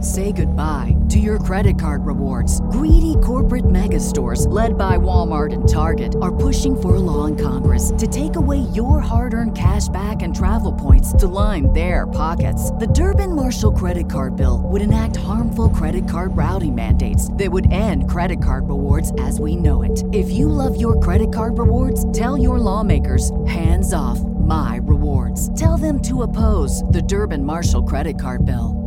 Say goodbye to your credit card rewards. Greedy corporate mega stores, led by Walmart and Target, are pushing for a law in Congress to take away your hard earned cash back and travel points to line their pockets. The Durbin Marshall credit card bill would enact harmful credit card routing mandates that would end credit card rewards as we know it. If you love your credit card rewards, tell your lawmakers hands off my rewards. Tell them to oppose the Durban Marshall credit card bill.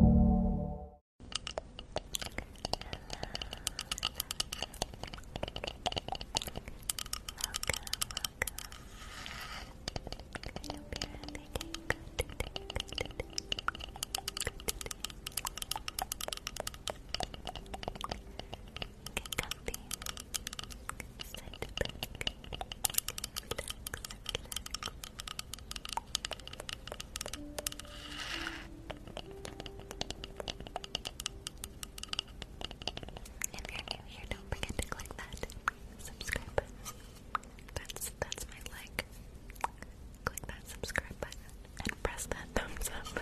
If you're new here, don't forget to click that subscribe button. That's my like. Click that subscribe button and press that thumbs up.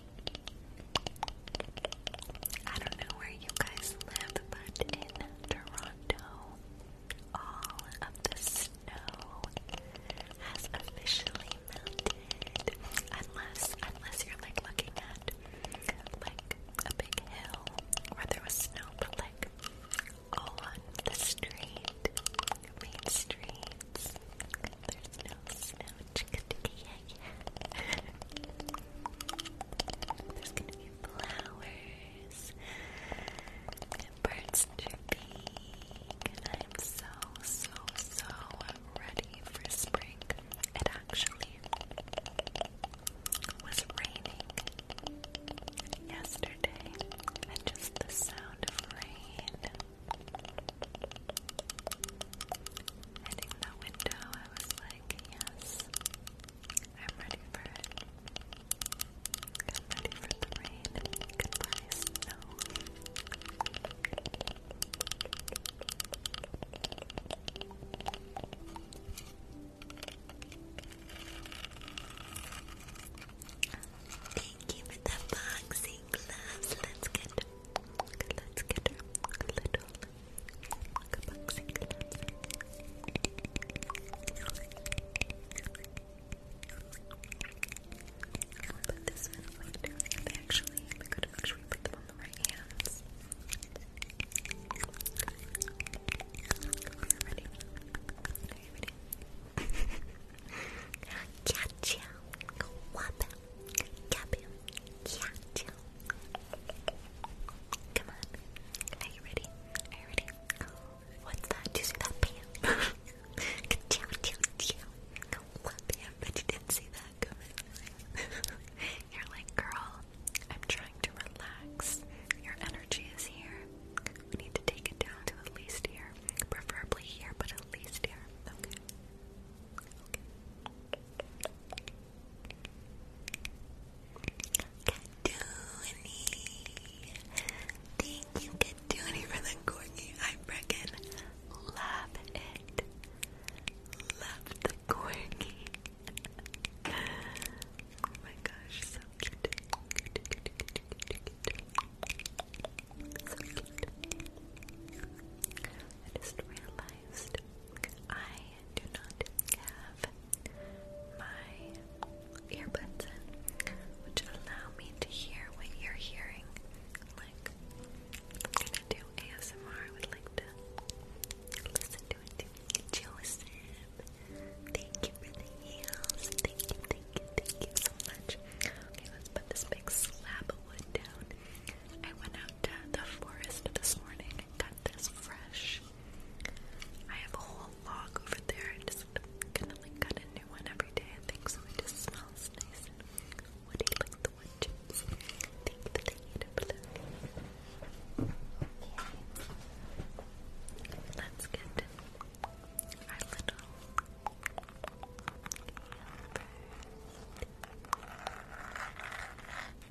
I don't know where you guys live, but in Toronto, all of the snow has officially melted. Unless, unless you're like looking at like a big hill where there was snow, but like on the street, main streets, there's no snow. Chickadee, There's gonna be flowers birds chirping, I'm so, so, so ready for spring. It actually was raining yesterday, and just the sound of rain. Heading the window I was like, yes, I'm ready for it. I'm ready for the rain and goodbye snow. Thank you for the boxing gloves. Let's get, let's get a little Good Put this one right down. And actually, we could make put them on the right hands. Are you ready? Are you ready? Cha-cha, wabba, Come on. Are you ready? Are you ready? What's that? Do you see that bam? down, but you didn't see that You're like, girl, I'm trying to relax. Your energy is here. We need to take it down to at least here. Preferably here, but at least here. Okay. Katuni. Thank you, Katuni, for the corgi. I freaking love it. Love the corgi. oh my gosh, So cute. I just realized I do not have my earbuds in, which allow me to hear what you're hearing. Like, I'm gonna do ASMR, I would like to listen to it too. Joseph, thank you for the heels. Thank you, thank you, thank you so much. let's put this big slab of wood down. I went out to the forest this morning and got this fresh. I have a whole log over there. I just kind to like cut a new one every day, I think, so it just smells nice and woody like the wood chips. Thank you, Let's get our little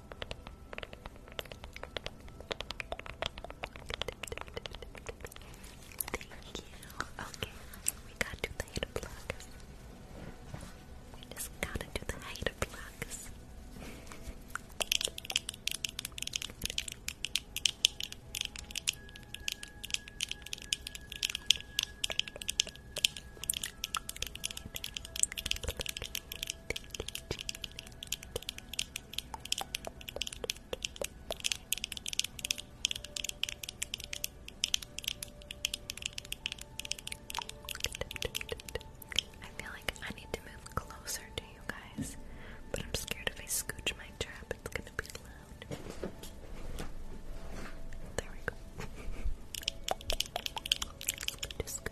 Thank you. Okay, we gotta the plugs. We just gotta do the hater plugs I feel like I need to move closer to you guys, but I'm scared if I scooch my chair it's gonna be loud. There we go. Just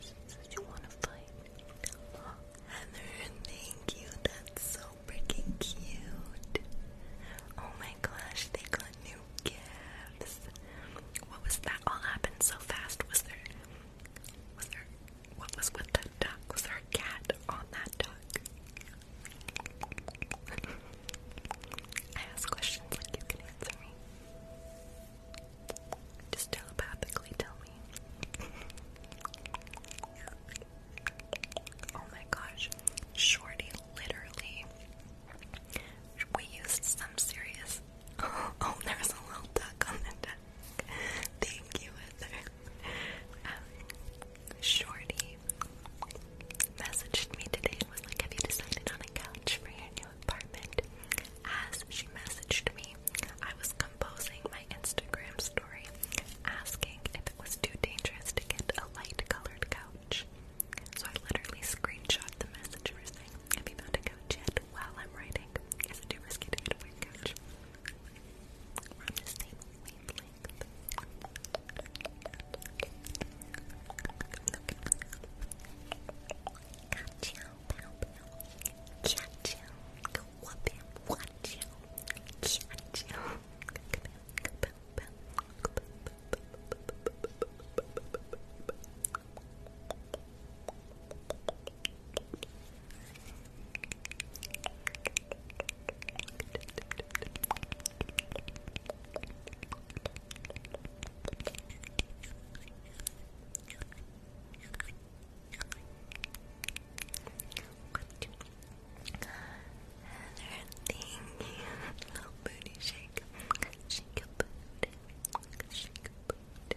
Just you want to fight. Heather, thank you. That's so freaking cute. Oh my gosh, they got new gifts. What was that? All happened so fast. Was there was there what was with the duck? Was there a cat on that duck? I ask questions like you can answer me. Just telepathically tell me. oh my gosh. Shorty literally we used some serious oh, there's a little duck on the deck. Thank you, um, Shorty messaged me today and was like, Have you decided on a couch for your new apartment? As she messaged me, I was composing my Instagram story asking if it was too dangerous to get a light colored couch. So I literally screenshot the message for saying I'll be found to coach yet? While I'm writing, is it too risky to get coach? We're on the same wavelength. Gotcha, pow, pow. Go whoop him, watch you. Gotcha thank you. Little booty shake. Shake your Shake your booty.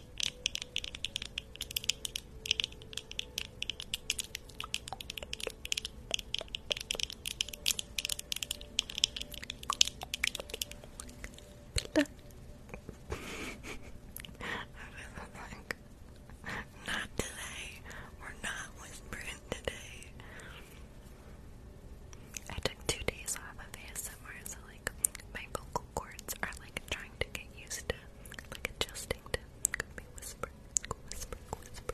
Pluck. like, not today. We're not whispering today. I took two days off of ASMR, so like my vocal cords are like trying to get used to like adjusting whisper, whisper, whisper,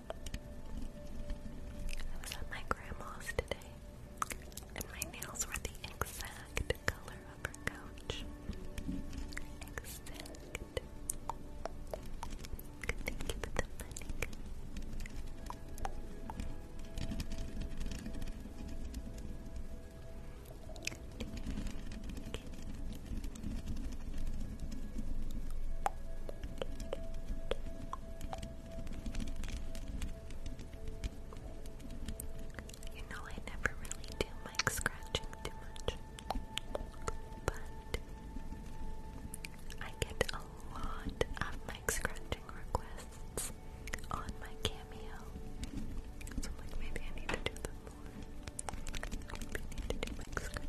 I was at my grandma's today, and my nails were the exact color of her couch. Thank you you know, I never really do like scratching too much, but I get a lot of mic scratching requests on my cameo. So maybe I need to do them more. I need to do mic scratching.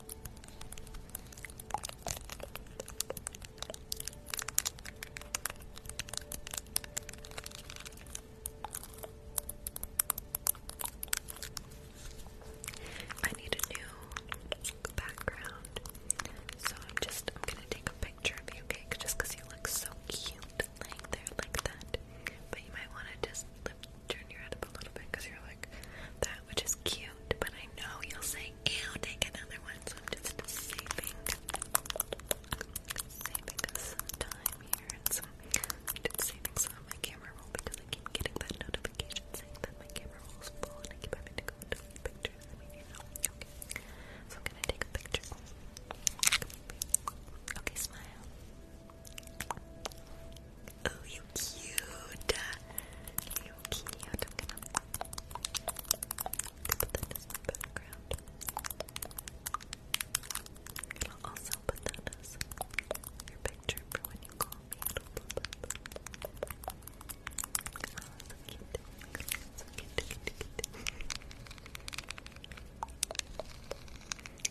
I need a new background, so I'm just I'm gonna take a picture of you, okay? Just because you look so cute laying there like that, but you might want to just lift turn your head up a little bit because you're like that, which is cute. But I know you'll say, "Ew, take another one." So I'm just saving, saving some time here and saving some camera roll because I keep getting that notification saying that my camera roll is full, and I keep having to go to a So I'm gonna take a picture. Okay, smile. Oh, you cute. You cute. I'm going I'll also put that as your picture for when you call me.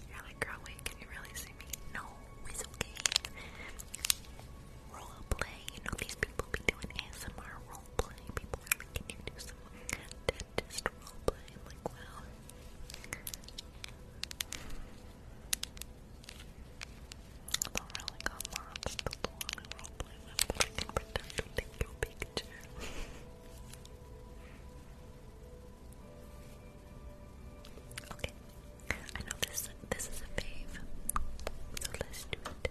You're like, girl, wait, can you really see me? No, it's okay role play. You know, these people be doing ASMR role play. People like, can you do some dentist role play? like, wow. I don't really got lots of people on role play with, can pretend to take your picture. Okay, I know this this is a fave, so let's do it.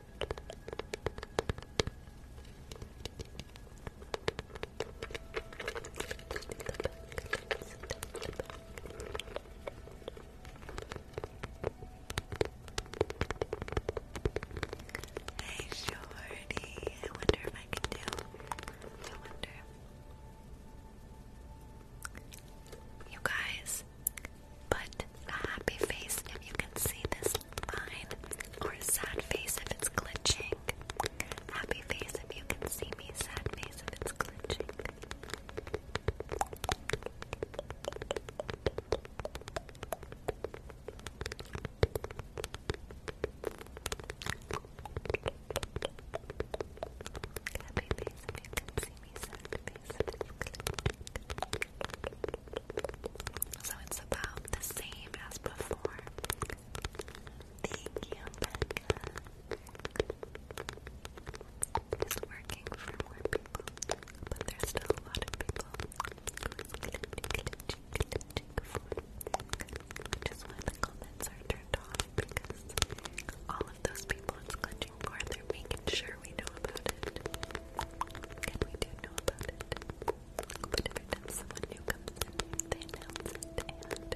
Hey, Shorty. I wonder if I can do. I wonder. You guys, but a happy face if you can see this line, or a sad face if it's glitching. Happy face if you can see me, sad face if it's glitching. Happy face if you can see me, sad face if it's glitching. So it's about the same as before. Thank you, Becca. working for more people, but there's still a lot of people which is why the comments turned off because all of those people it's glitching for, they're making sure sure we know about it. And we do know about it. But every time someone new comes in, they announce and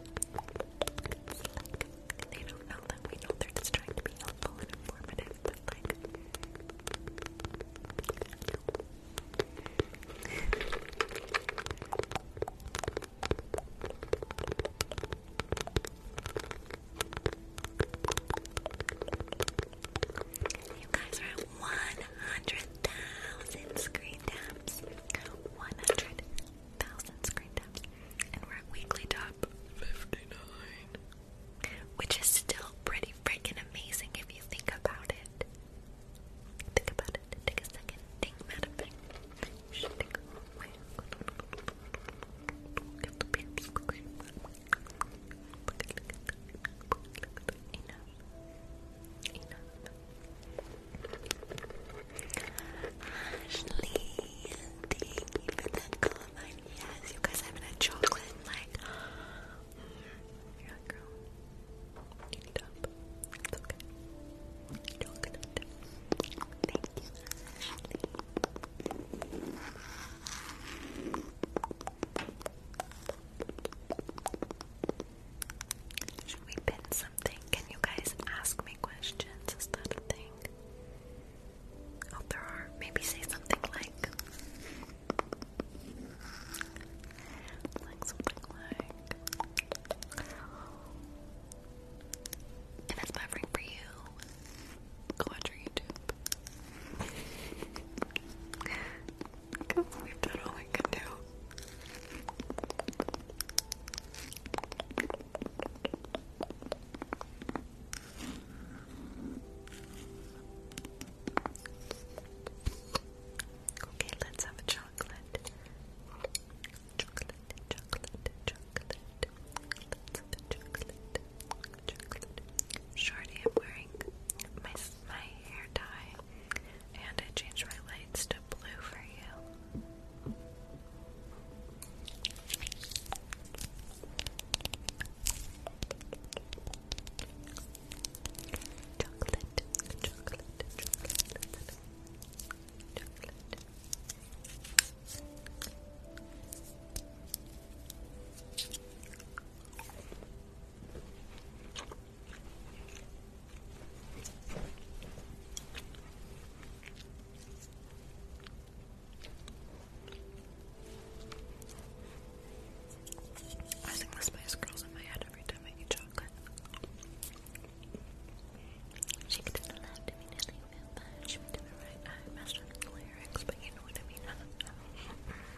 they don't know that we know they're just trying to be helpful and informative, but like. You guys are 100,000 screen 100,000 screen And we're at weekly top 59. Which is still pretty freaking amazing if you think about it. Think about it. Take a second. Think about it. Ashley, thank you for comment. Yes, you guys haven't chocolate in like mm, you're like girl. Eat it up. It's okay. Chocolate. Thank you. Should we pin something? Can you guys ask me questions? Is that a thing? Oh, there are. Maybe say something like. Like something like. If it's my ring for you, Clutter YouTube. we've done all we can do. Okay, let's have a chocolate. Chocolate, chocolate, chocolate. Shorty, I'm wearing my, my hair dye, and I changed my lights to blue for you. chocolate, chocolate, chocolate. Chocolate, I sing the Spice Girls in my head every time I eat chocolate. She could the left, I mean, I think that. the right. I messed up the lyrics, but you know what I mean.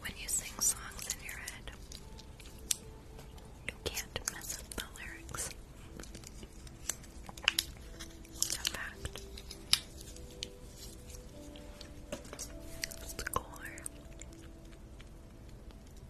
When you sing songs in your head, you can't mess up the lyrics. It's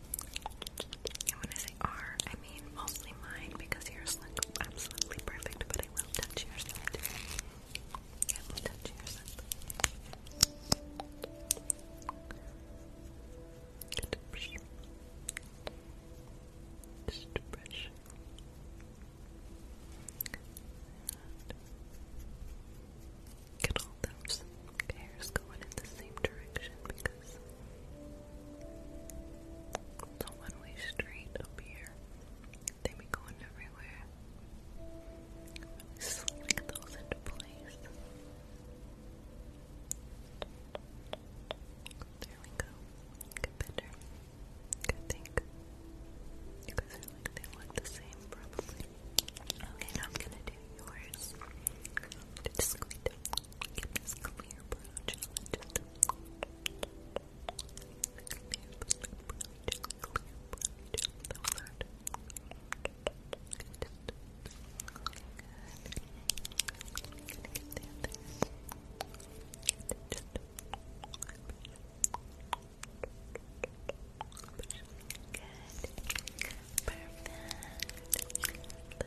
when I say R, I mean mostly mine because yours look absolutely perfect, but I will touch yours up. I will touch yours up. Just to brush. Get all those hairs going in the same direction because focus. The one-way street up here. They be going everywhere. Really those into place. There we go. Get better. I think you guys are like they look the same probably. Okay, I'm gonna do yours. Just squeeze it in this clear brow challenge. Just clear brow gel, clear brow gel. That was hard. Good. Good. I'm gonna get the other. Just Good. Perfect.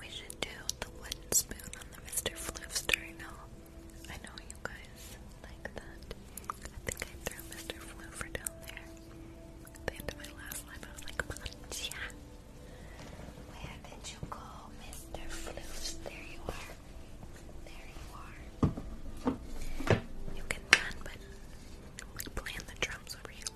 We should do the wooden spoon on the Mr. Floofster, I know. I know you guys like that. I think I threw Mr. Floofer down there. At the end of my last life, I was like, Macha! Where did you go, Mr. Floofs? There you are. There you are. You can run, but we playing the drums over you.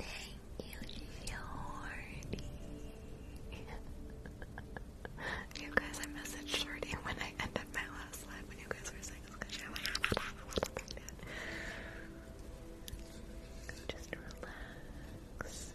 Thank you, Jordy. you guys, I messaged Shorty when I ended my last live when you guys were saying Just relax. Just relax.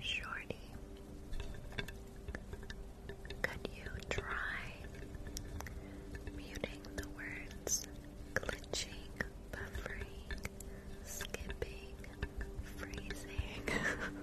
Shorty, could you try muting the words glitching, buffering, skipping, freezing?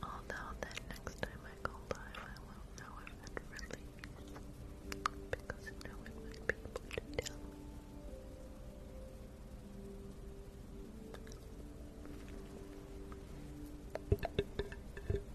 Although then next time I go live I will know if it really because no one would be able to tell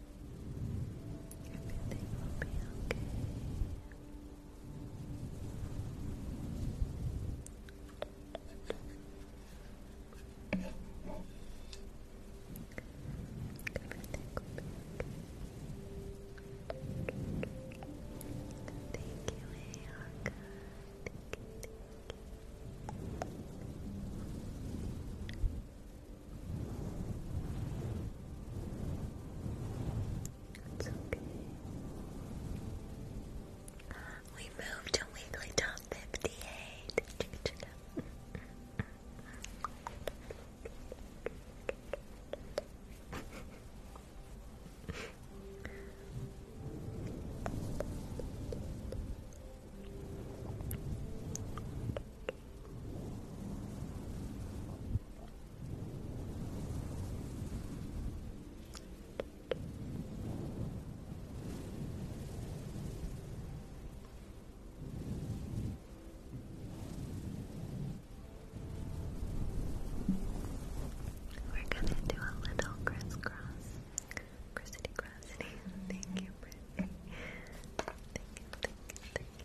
Everything will be okay. Everything will be okay. Thank you, Ayaka. Thank thank you. It's okay. We moved to weekly top 58. We're gonna do a little crisscross. Christy Crosby. Thank you, Brittany. Thank you,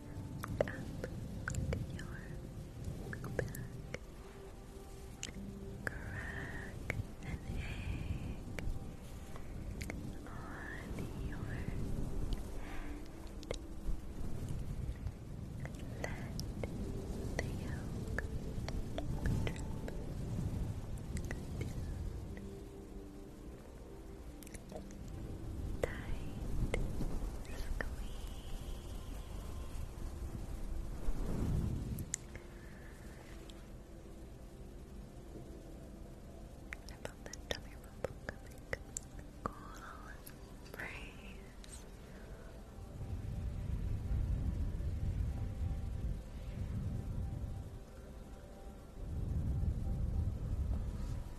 up your back. Crack an egg on your head. Let the yolk drip down. Tight squeeze about that tummy rumble coming? Cool praise.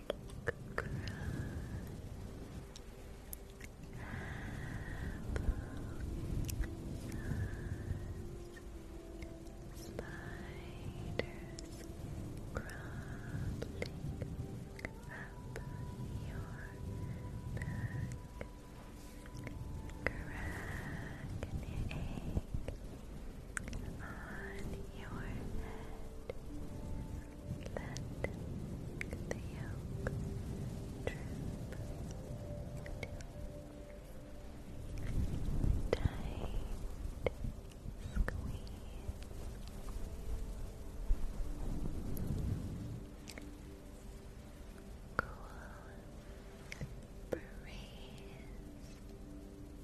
Spiders crawling up your back, cracking egg on your head. Let the yolk drip Tight squeeze. Cool breeze.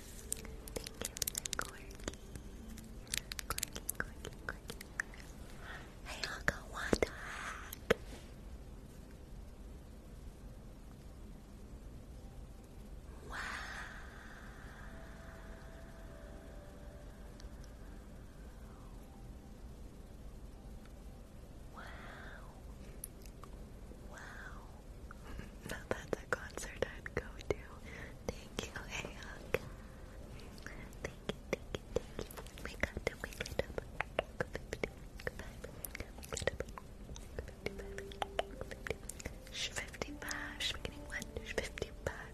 for Corky. Hey, Uncle, what the Wow. Wow. Wow. Now that's a concert I'd go to. Thank you, Ayok. Thank you, thank you, thank you. We got to wake Fifty-five. Should we getting Fifty-five.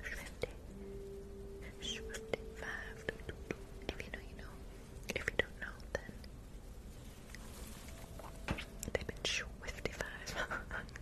If you know, you know. If you don't know, then they've been fifty-five.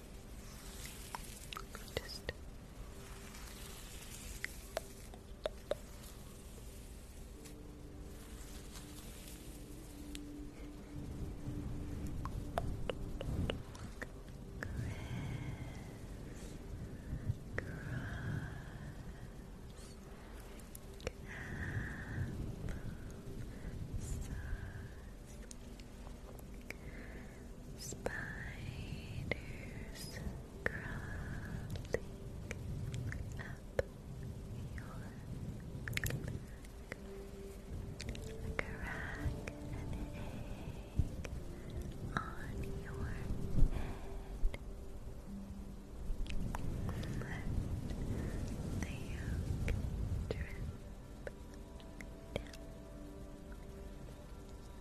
Just Apple sauce. Spiders crawling up your back like an egg on your head. Let the yolk drip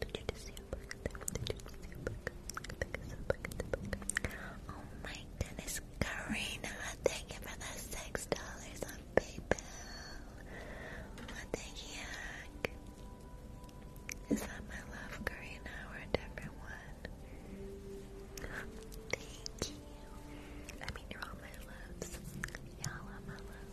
Did you just see a you just see Oh my goodness, Karina, thank you for the six dollars on PayPal. What the Is that my love, Karina, or a Thank you. I mean, you're all my loves. Y'all are my loves.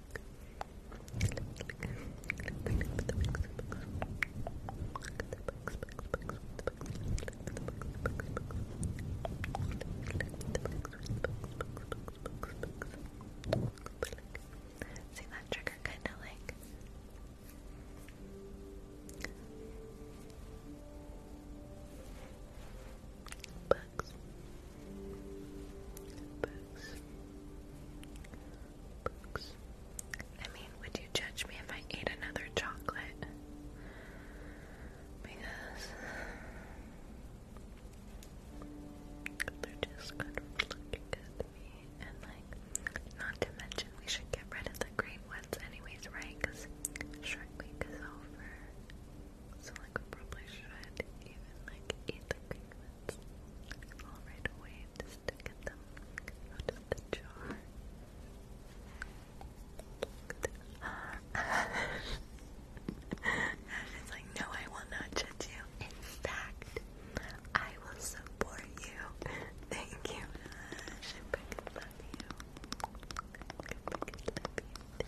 See that trigger kind of like Bugs. Bugs. Bugs. I mean, would you judge me if I ate another chocolate? Because they're just kind of looking at and like, not to mention, we should get rid of the green ones, anyways, right? Because Shark Week is over, like probably should even like eat the all right away just them out the jar. It's like, no, I will not judge you. In fact, I will support you. Thank you, I love you. Okay.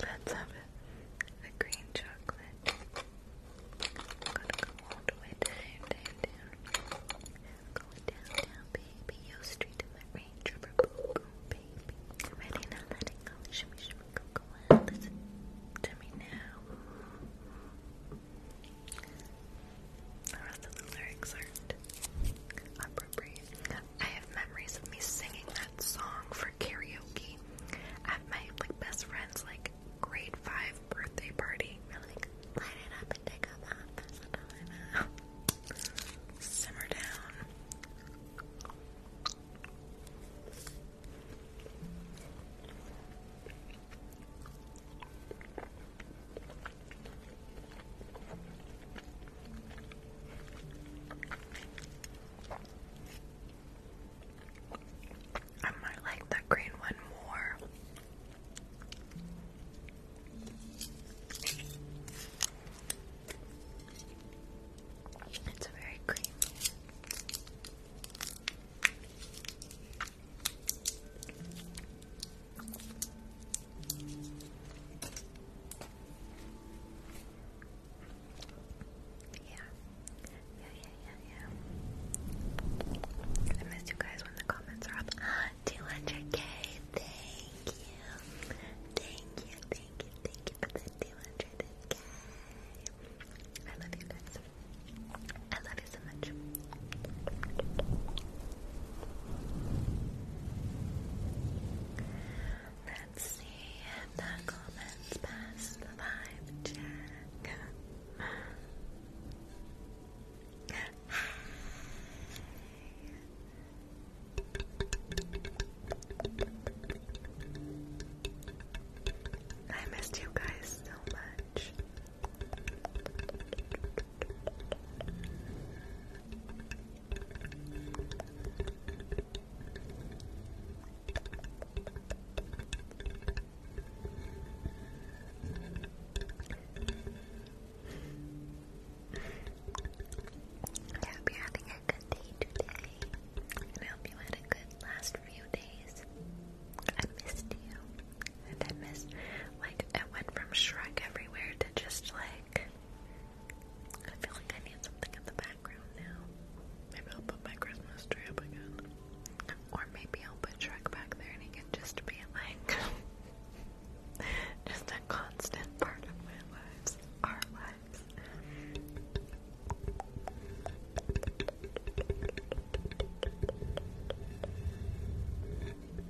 Let's have a, a green chocolate. gonna go all the way down, down, down. down, down, baby. Yo, straight to that range rubber baby. Ready now, let it go. Shimmy, shimmy, go, go Listen to me now. The rest of the lyrics aren't appropriate. I have memories of me singing that song for karaoke at my like best friend's like grade five birthday party. we light it up and take off that Simmer down. I might like the green one more. It's very creamy. Yeah. Yeah, yeah, yeah, yeah. I missed you guys when the comments are up. 200k. Thank you. Thank you, thank you, thank you for the 200k. I love you guys. I love you so much. Let's see if the comments pass the vibe check. I missed you guys so much. I hope you're having a good day today, and I hope you had a good last few days. I missed you and I miss like it went from Shrek everywhere to just like I feel like I need something in the background now. Maybe I'll put my Christmas tree up again. Or maybe I'll put Shrek back there and it can just be like just a constant part of Our lives.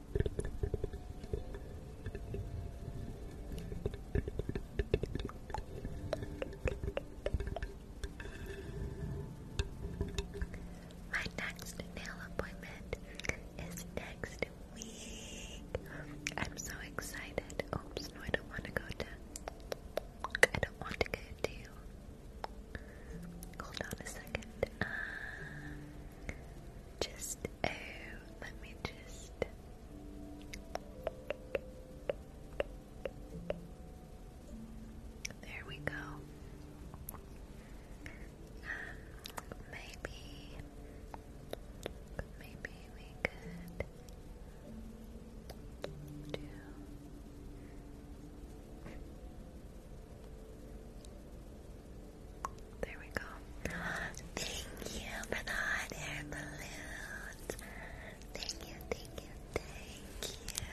My next nail appointment is next week. I'm so excited. Oops, no, I don't want to go to. I don't want to go to. Hold on a second. Um, just oh, let me just. There we go. maybe, maybe we could do. There we go. Thank you for the air balloons. Thank you, thank you, thank you.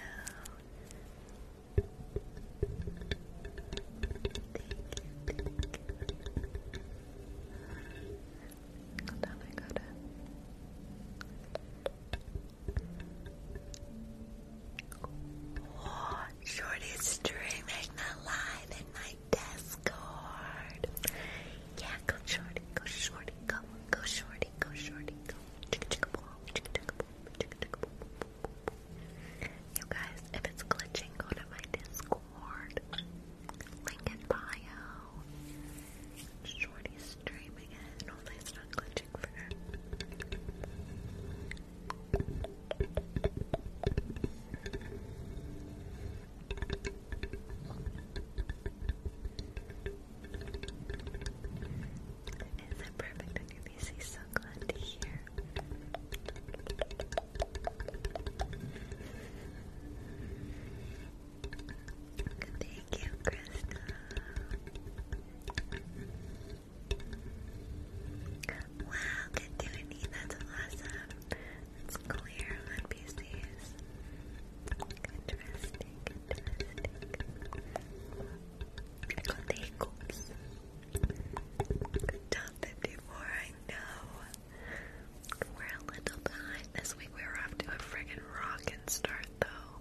What? shortest string live in my Discord. Yeah, go shorty, go shorty, go, go shorty, go shorty, go. You guys, if it's glitching, go to my Discord. Link in bio. Shorty streaming it. it's not glitching for her. Is it perfect on your PC? So glad Thank you, Krista. Wow, good doing That's awesome. It's clear on PCs. Interesting, I got the hiccups. Top 54, I know. We're a little behind this week. We were off to a friggin' rockin' start, though.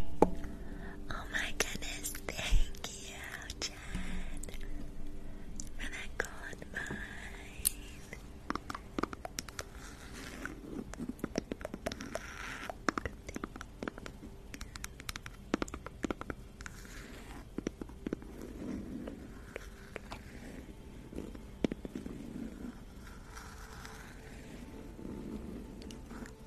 Oh my goodness, thank you, Jen, for that gold Guys,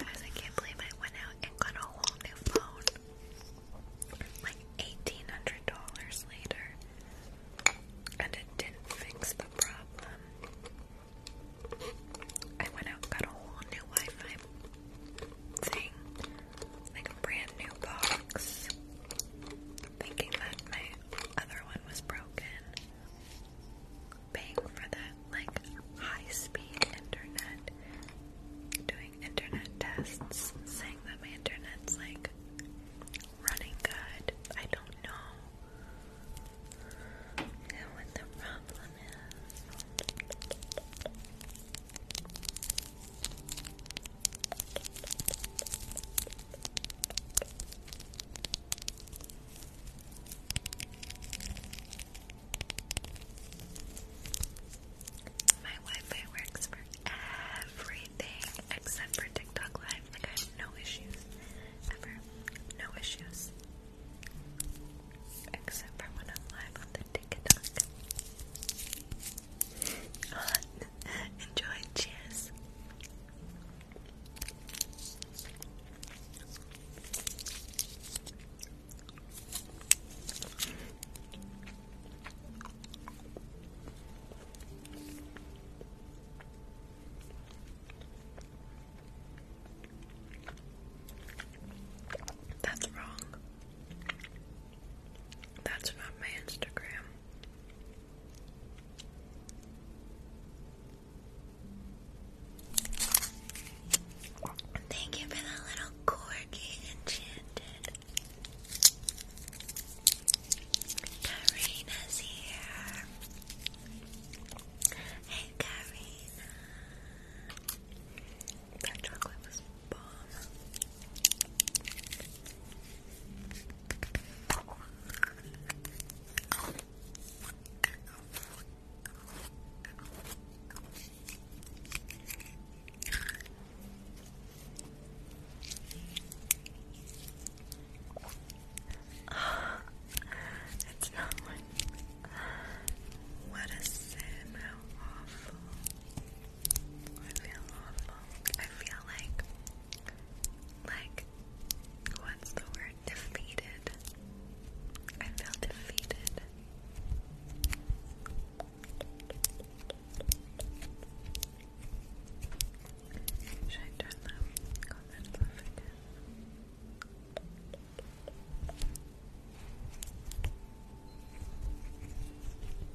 I can't believe I went out and got a whole new phone. Like $1,800 later. And it didn't fix the problem. I went out and got a whole new Wi Fi thing like a brand new box, thinking that my other one was broken. Paying for that like high speed internet, doing internet tests, saying that my internet's like running good. I don't know what the problem is. My Wi-Fi works for everything except for TikTok Live. Like I have no issues ever, no issues except for when I'm live on TikTok. Right. Enjoy. Cheers. That's wrong. That's not my Instagram. Thank you for the little corgi enchanted. Karina's here. Hey, Karina. That chocolate was balm. it's not one. What a sim, how awful. I feel awful. I feel like, like, what's the word? Defeated. I feel defeated. Should I turn the comments off again?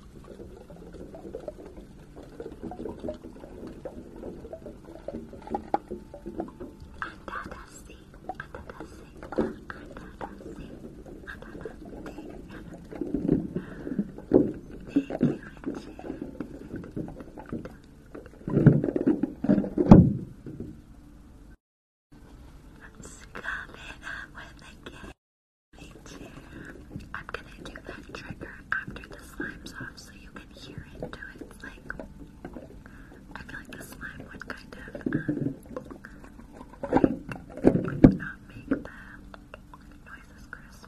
It's coming up with the game. I'm gonna do that trigger after the slime's off so you can hear it do its like I feel like the slime would kind of would um, not make the noises crisp.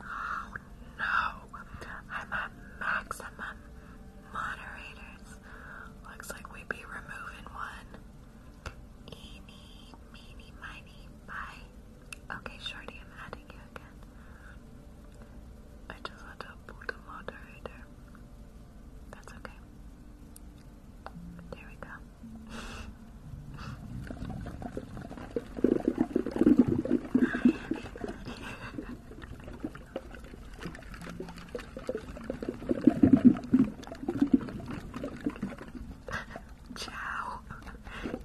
Oh no, I'm at maximum moderators. Looks like we be removing one. Eeny, meeny, miny, bye. Okay, Shorty, I'm adding you again. I just had to put a moderator. That's okay. There we go. Ciao.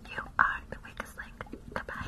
You are the weakest link. Goodbye.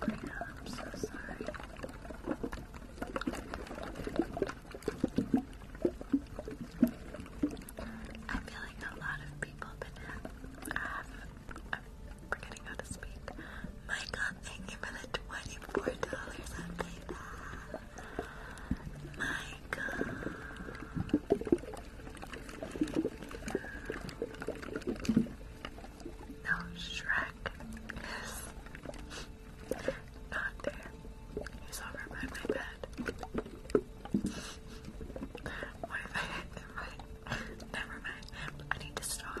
Gabriella, I'm so sorry. I feel like a lot of people I'm forgetting how to speak. Michael, uh, thank you for the $24 update. Michael. No, Shrek is not there. He's over by my bed. What if I hit him Never mind. I need to stop.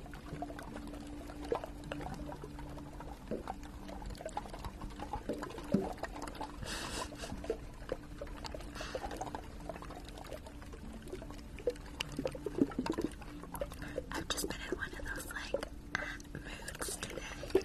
I've just been in one of those like moods today.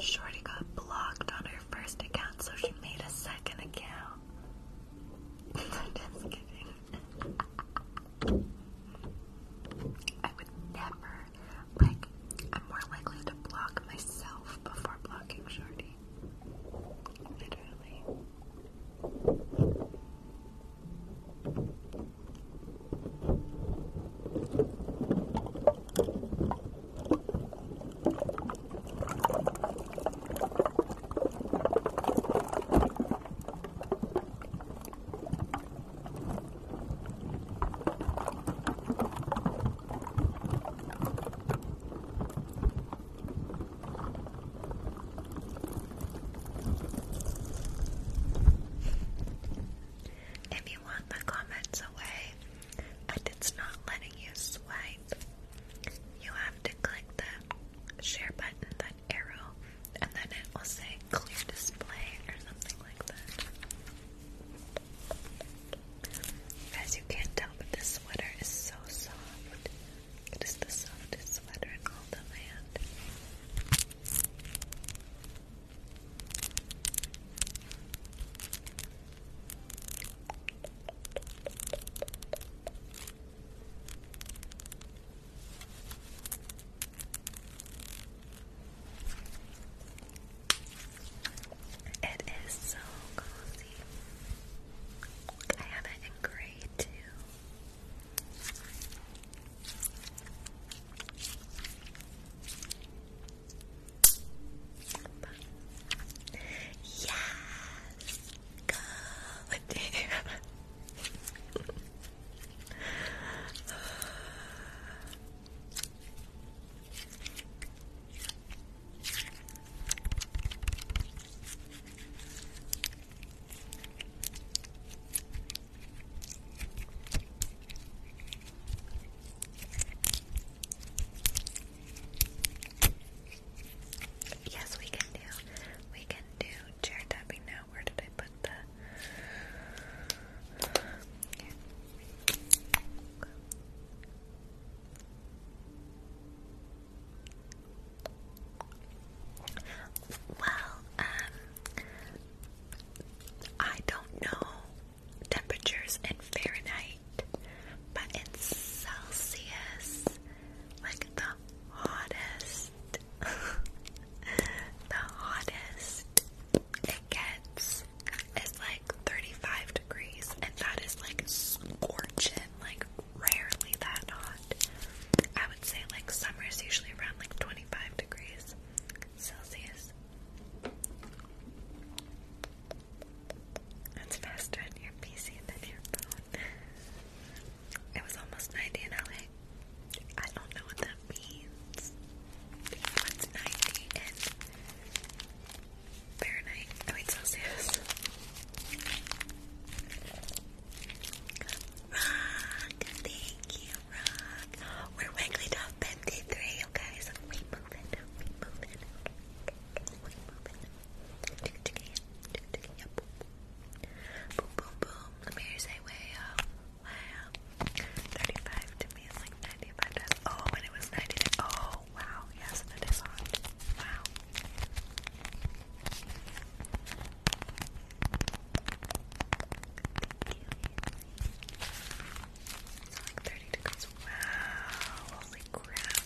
Shorty got blocked on her first account, so she made a second account. Just kidding. I would never, like, I'm more likely to block myself before blocking Shorty literally. If you want the comments away and it's not letting you swipe, you have to click the share button, that arrow, and then it will say clear display or something like that. As you can tell, but this sweater is so soft. It is the softest sweater in all the land. It is so cozy see. I have it in gray too. Yes! God damn. Yes, we can do. We can do chair tapping now. Where did I put the? Well, um, I don't know temperatures in Fahrenheit, but in Celsius, like the hottest, the hottest it gets is like 35 degrees, and that is like scorching, like rarely that hot. I would say like summer is usually around like 25 degrees Celsius. That's faster on your PC than your phone. It was almost 90 in LA. I don't know what that means. What's 90 in Fahrenheit? Oh, I Celsius. Rock, thank you, Rock. We're Wigglytuff Bendy 3, you guys. We move it, we move it. We move it. Chicka chicka yeah, chicka chicka yeah, boom boom. Boom boom boom. Let me hear you say way up, way up. 35 to me is like 95 times. Oh, and it was 99. Oh, wow, yes, that is hot. Wow. Wow, holy crap.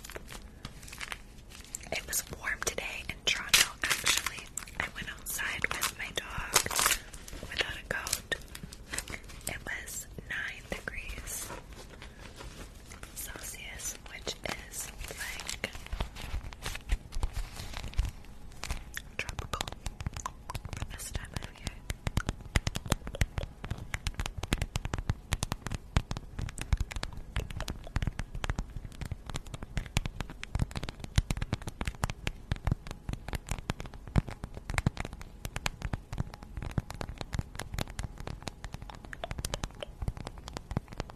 It was warm today in Toronto, actually. I went outside with my dog without a coat. It was 9 degrees. Celsius, which is like tropical for this time of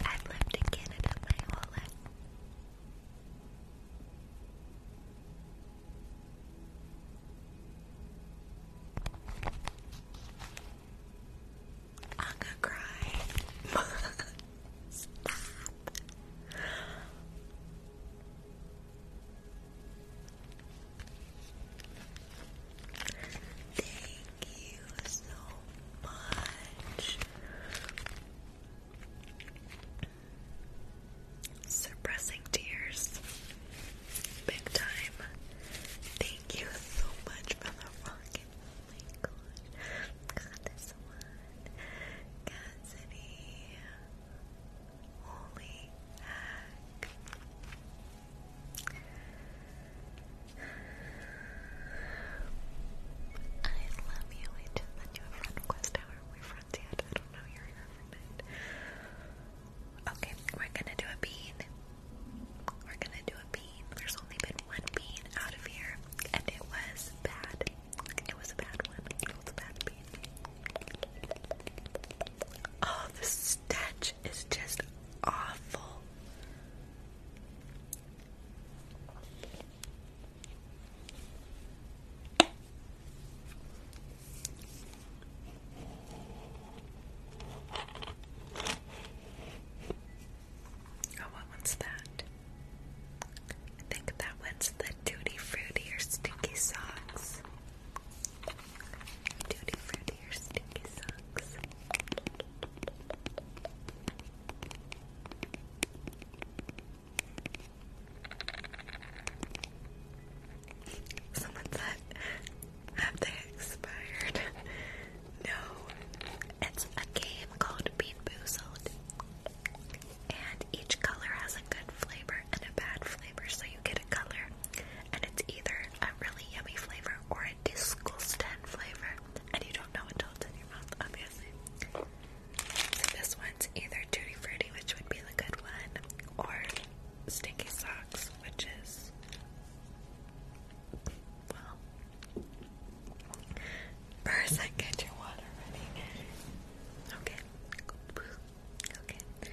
I've lived in Canada my whole life. I'm gonna cry. Thank you so much. Suppressing tears. Big time. Thank you so much for the rocket. Oh my god. Got this one. Cassidy. Holy I love you. I you a friend request. we friends I don't know. You're Okay, we're gonna do a bean. We're gonna do a bean. There's only been one bean out of here, and it was bad. It was a bad one. It was a bad bean. Oh, the stench is just awful. Oh, what one's that? I think that one's the Tutti Fruity or Stinky Socks. Duty fruity or socks. Someone said, have they expired? no. It's a game called Bean Boozled. And each color has a good flavor and a bad flavor, you get a color, and it's either a really yummy flavor or a disgusting flavor, and you don't know until it's in your mouth, obviously. So this one's either tutti frutti, which would be the good one, or stinky socks, which is well. First, I get your water ready. Okay. Okay.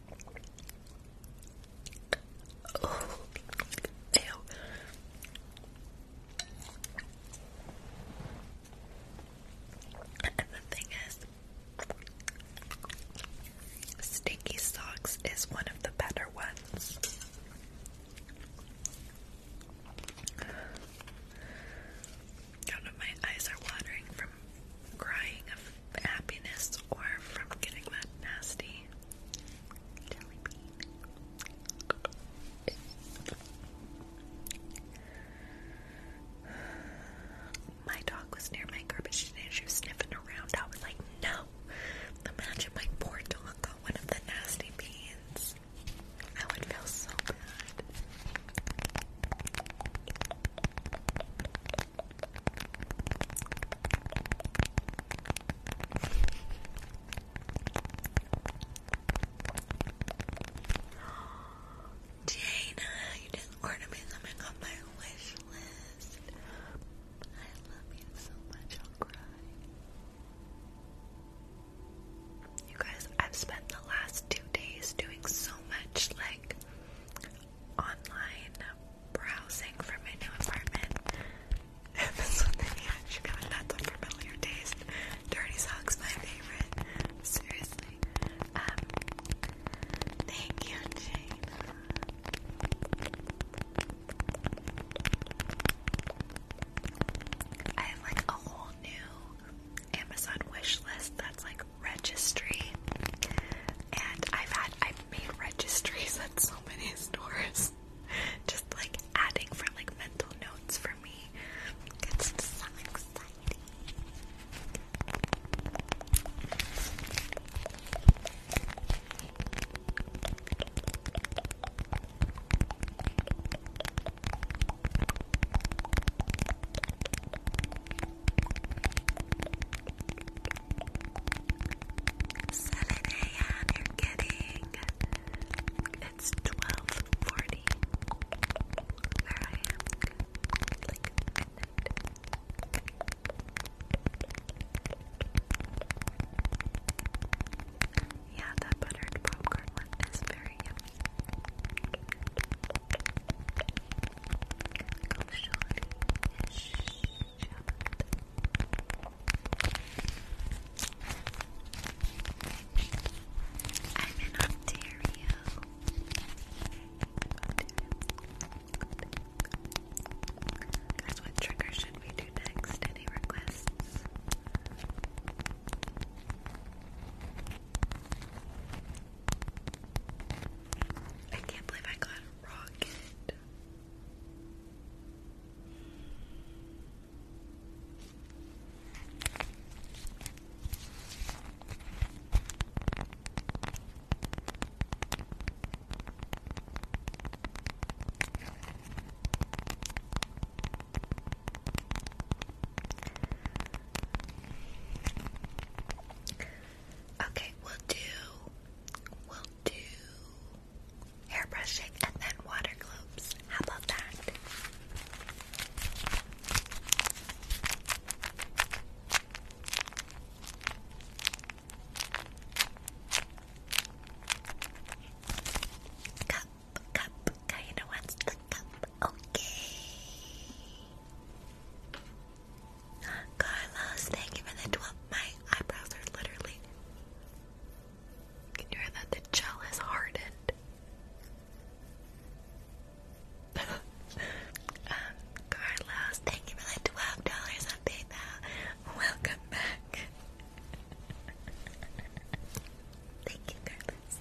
Oh, ew. And the thing is, Stinky Socks is one of the better ones. God, my eyes are watering from crying happiness or from getting that nasty My dog was near my garbage today and she was sniffing around. I was like, no. Imagine my poor dog got one of the nasty beans. I would feel so bad. Jana, you didn't me something on my wish list. I love you so much, I'll cry. You guys, I've spent the last two days doing so much like online browsing for my new apartment. And this one, yeah, she got that's a familiar taste. Dirty socks, my favorite. Seriously. Um, thank you, Jane. I have like a whole new Amazon wishlist. that's like registry. And I've had I've made registries at so many stores. Just like adding for like mental notes for me. It's so exciting. 7 a.m. You're kidding. It's 12:40. yeah, that buttered popcorn one is very yummy. Go shorty. Shh. I'm in Ontario. Guys, what trigger should we do next? Any requests? I can't believe I got rocket. Okay, we'll do, we'll do hair brushing, and then water globes. How about that? Cup, cup, Kaina wants the cup. Okay. Carlos, thank you for the 12. My eyebrows are literally can you hear that? The gel is hardened. Um, Carlos, thank you for like twelve dollars on PayPal. Welcome back. thank you, Carlos.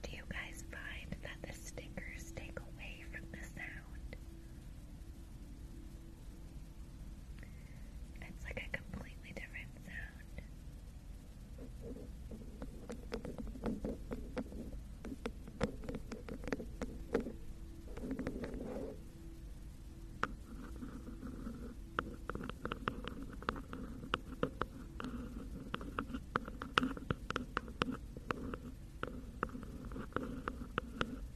Do you guys find that the stickers take away from the sound? It's like a completely different sound.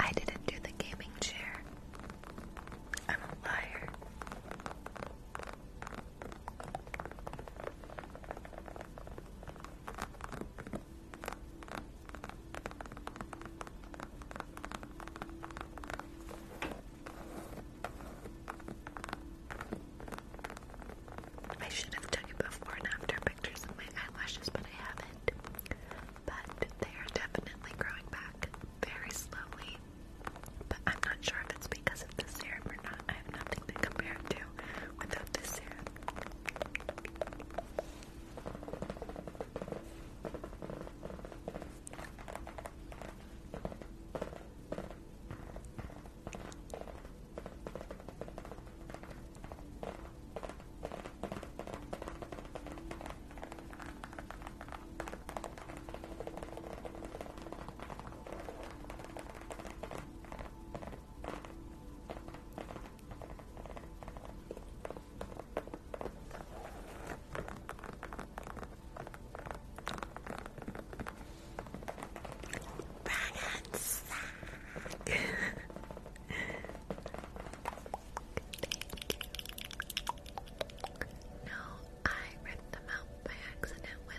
I didn't do the gaming chair. I'm a liar. I should have taken before and after pictures of my eyelashes, but I haven't. But they are definitely growing back very slowly. But I'm not sure that's because of the serum or not. I have nothing to compare it to without the serum. Ragazza. Thank you. No, I ripped them out by accident with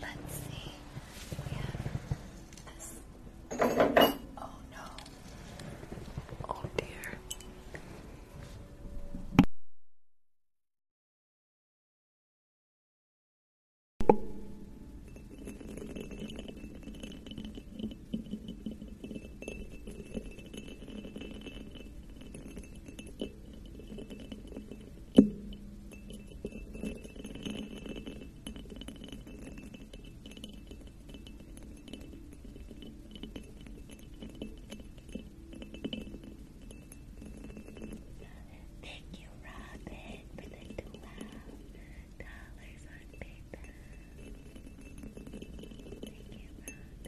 Let's see. We have this. Oh no. Oh dear. Thank you, Robin, for the $12 on paper. Thank you, Robin.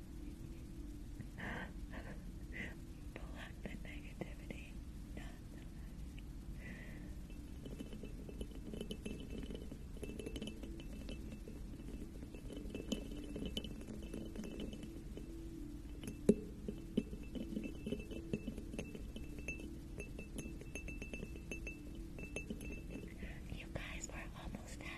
Block the negativity, you guys were almost done.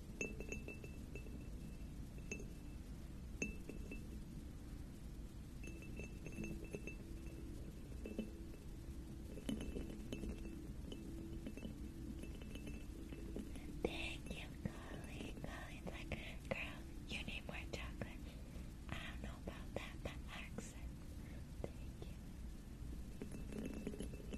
Thank you, Colleen. Colleen's like, girl, you need more chocolate. I don't know about that, accent. Thank you.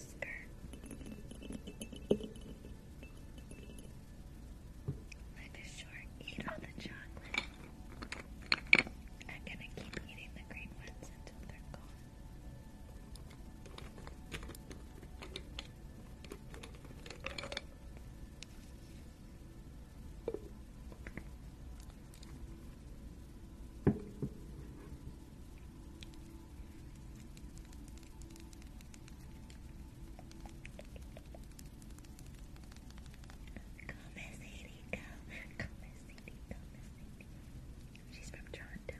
Skirt. Like a short, eat all the chocolate. I'm gonna keep eating the green ones until they're gone. Miss Sadie, go. Go Miss Sadie, go Miss Sadie. She's from Toronto.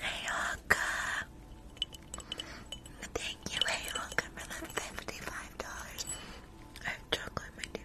Hey Oka. Thank you, hey Oka, for the $55. I have chocolate, my dear.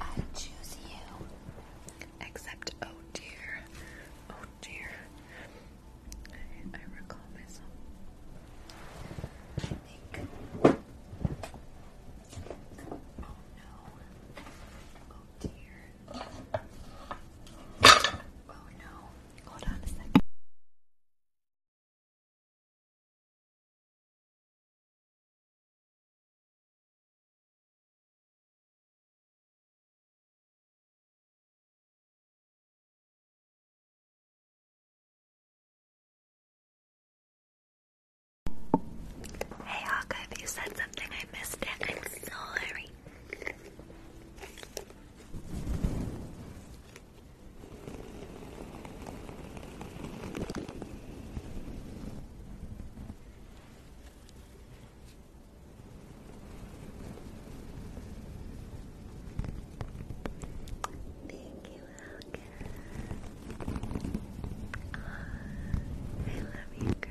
I choose you. Except, oh dear, oh dear. I, recall myself. I think. Oh no. Oh dear. Oh no. Hold on a second. Hey Hawka, if you said something I missed it, I'm sorry. Thank you, Alka. I love you, girl.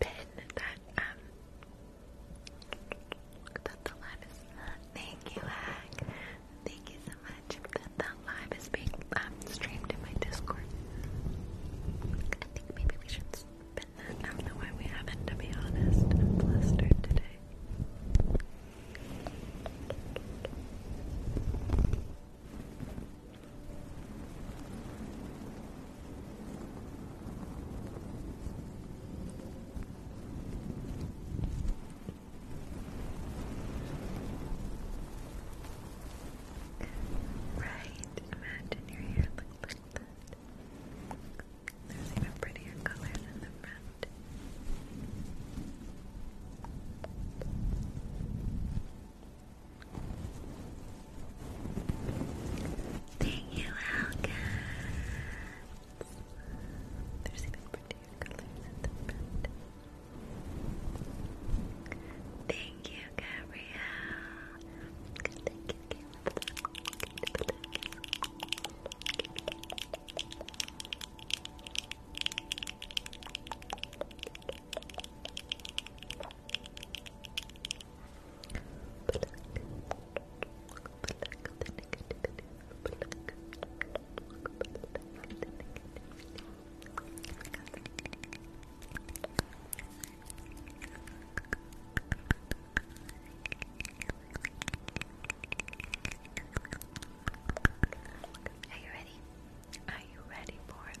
pin that um that live is thank you Hack. Thank you so much that that live is being um, streamed in my Discord. I think maybe we should spin that. I do we haven't to be honest. i today. Right, imagine your hair looked There's even prettier colors in the front. Thank you, Alka. There's even prettier colors at the front. Thank you, Gabrielle. Good, thank are you ready? Are you ready for it?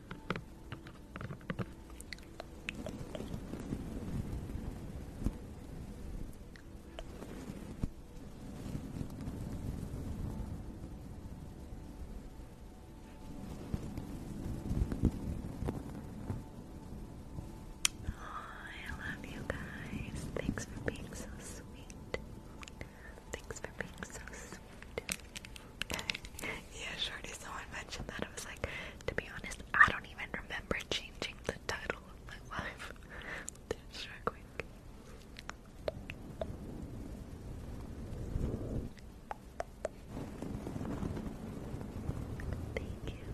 Oh, I love you guys. Thanks for being so sweet. Thanks for being so sweet. yeah, Shorty, someone mentioned that. I was like, to be honest, I don't even remember changing the title of my life. Shark Week. Thank you.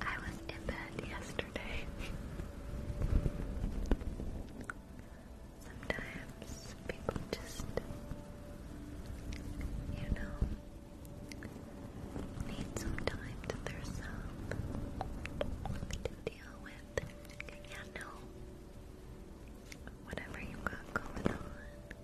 I was in bed yesterday. Sometimes people just, you know, need some time to themselves to deal with. Yeah, no. Whatever you got going on,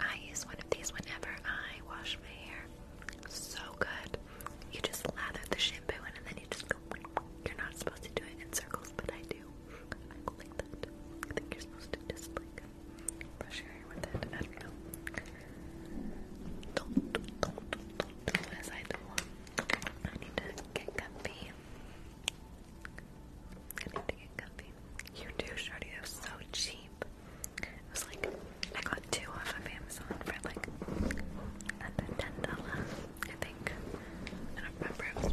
I use one of these whenever I wash my hair. So good. You just lather the shampoo and then you just You're not supposed to do it in circles, but I do. I go like that. I think you're supposed to just like brush your hair with it. I don't Don't, don't, don't, don't as I do. I need to get comfy. You do, Shorty. It was so cheap. It was like, I got two off of Amazon for like ten dollars, I think. I don't remember.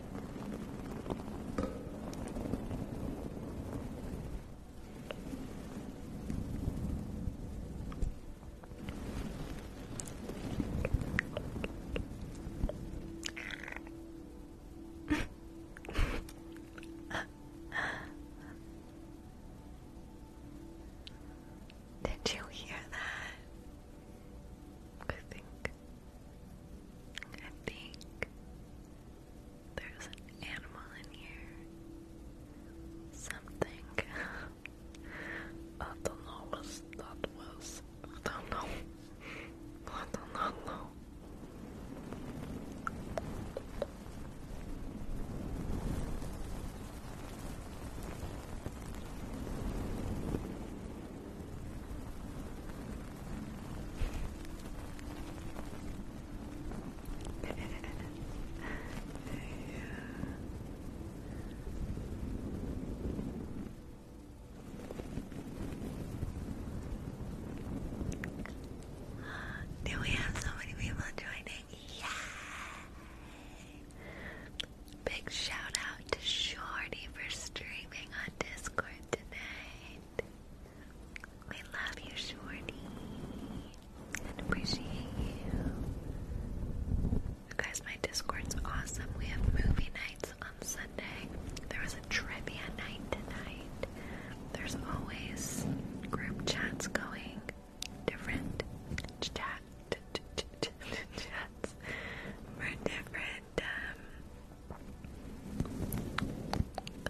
Did you hear that? I think. I think. There's an animal in here. Something. I don't know what that was. I don't know. I do not know. Do we have so many people joining? Yeah! Big shout out to Shorty for streaming on Discord tonight. I love you, Shorty, and appreciate you. You guys, my Discord's awesome. We have movie nights on Sunday. There was a trivia night tonight. There's always group chats going, different chat chats for different um,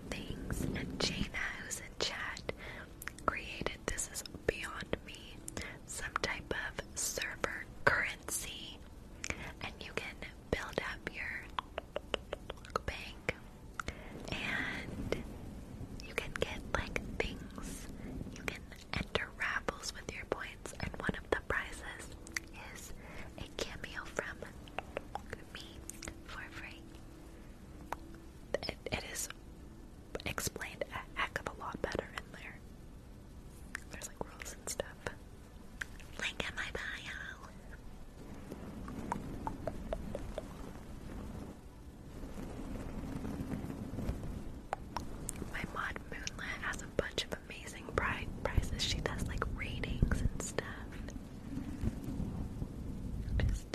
Thanks. And Jaina, who's in chat, created This Is Beyond Me, some type of server currency, and you can build up your bank, and you can get like things. You can enter raffles with your points, and one of the prizes is a cameo from me for free. It, it is explained a heck of a lot better in there. There's like rules and stuff. Link in my bio. My mod Moonlit has a bunch of amazing pri prizes. She does like readings and stuff. Just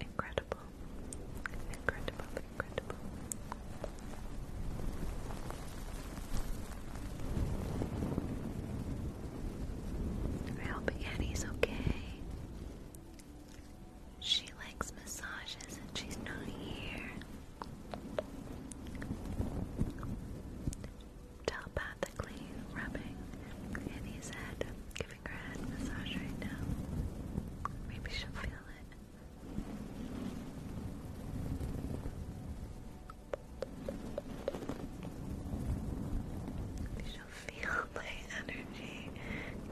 incredible. Incredible, incredible. I hope Annie's okay. She likes massages and she's not here telepathically rubbing Annie's head, giving her head massage right now. Maybe she'll feel it. She'll feel my energy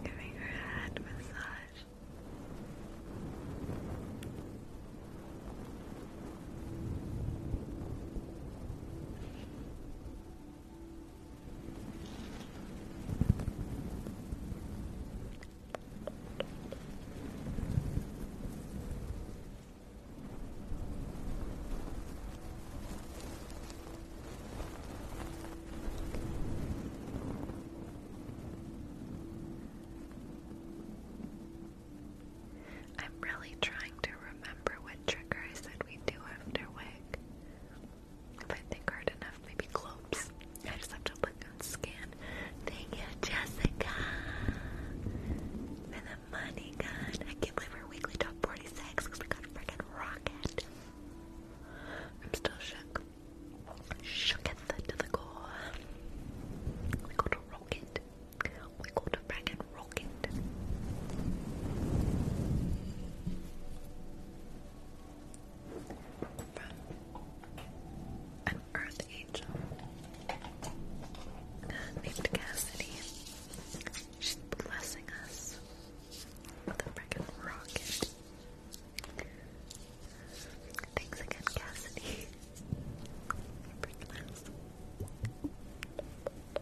giving her a head massage. I'm really trying to remember remember what trigger I said we'd do after wig. If I think hard enough, maybe clopes. I just have to look and scan. Thank you, Jessica. For the money gun. I can't believe we're weekly top 46 because we got a freaking rocket. I'm still shook. Shooketh to the core. We got a rocket. We got a bracket rocket. an earth angel named Cassidy. She's blessing us with a freaking rocket. Thanks again, Cassidy.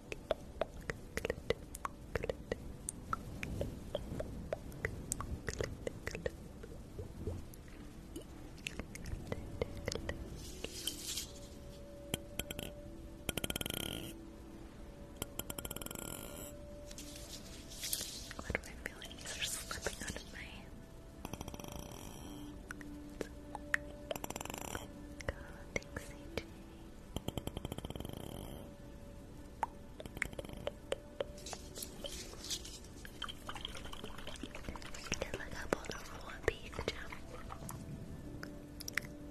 What do I feel like these are slipping out of God, thanks, AJ can look up on the floor page.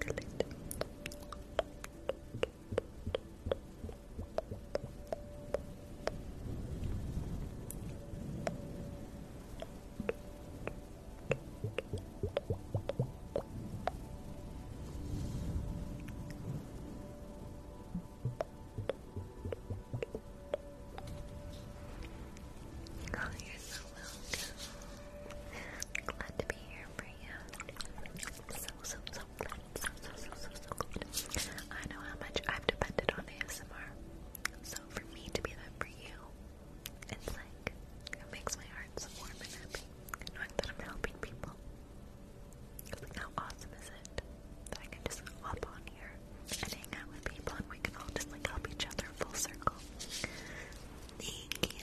Click it. Click. Oh, you're so welcome. Glad to be here for you. So, so, so glad. So, so, so, so, so glad. I know how much I've depended on ASMR. So, for me to be that for you it's like, it makes my heart so warm and happy knowing that I'm helping people. Like, how awesome is it that I can just hop on here and hang out with people and we can all just like help each other full circle. Thank you,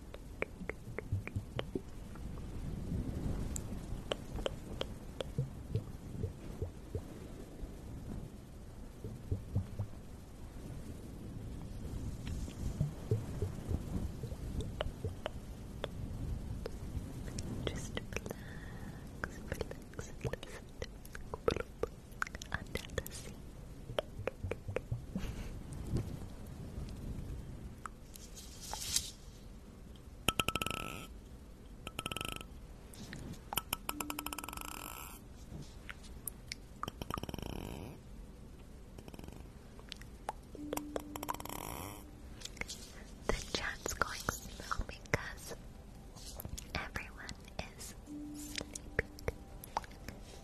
Just relax, relax, relax, under the sea. The chat's going slow because everyone is sleeping.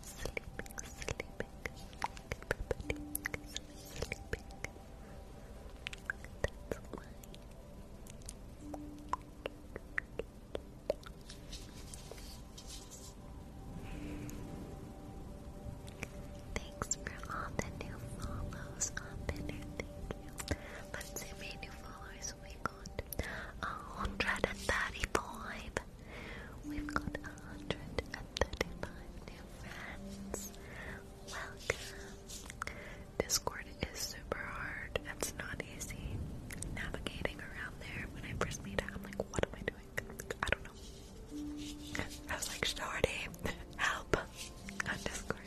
Sleeping, sleeping, sleeping. Thanks for all the new follows on Twitter, thank you. Let's see how many new followers we got. hundred and thirty-five. We've got hundred and thirty-five new friends. Discord is super hard. It's not easy navigating around there. When I first made it, I'm like, what am I doing? I don't know. I was like, Shorty, help on Discord.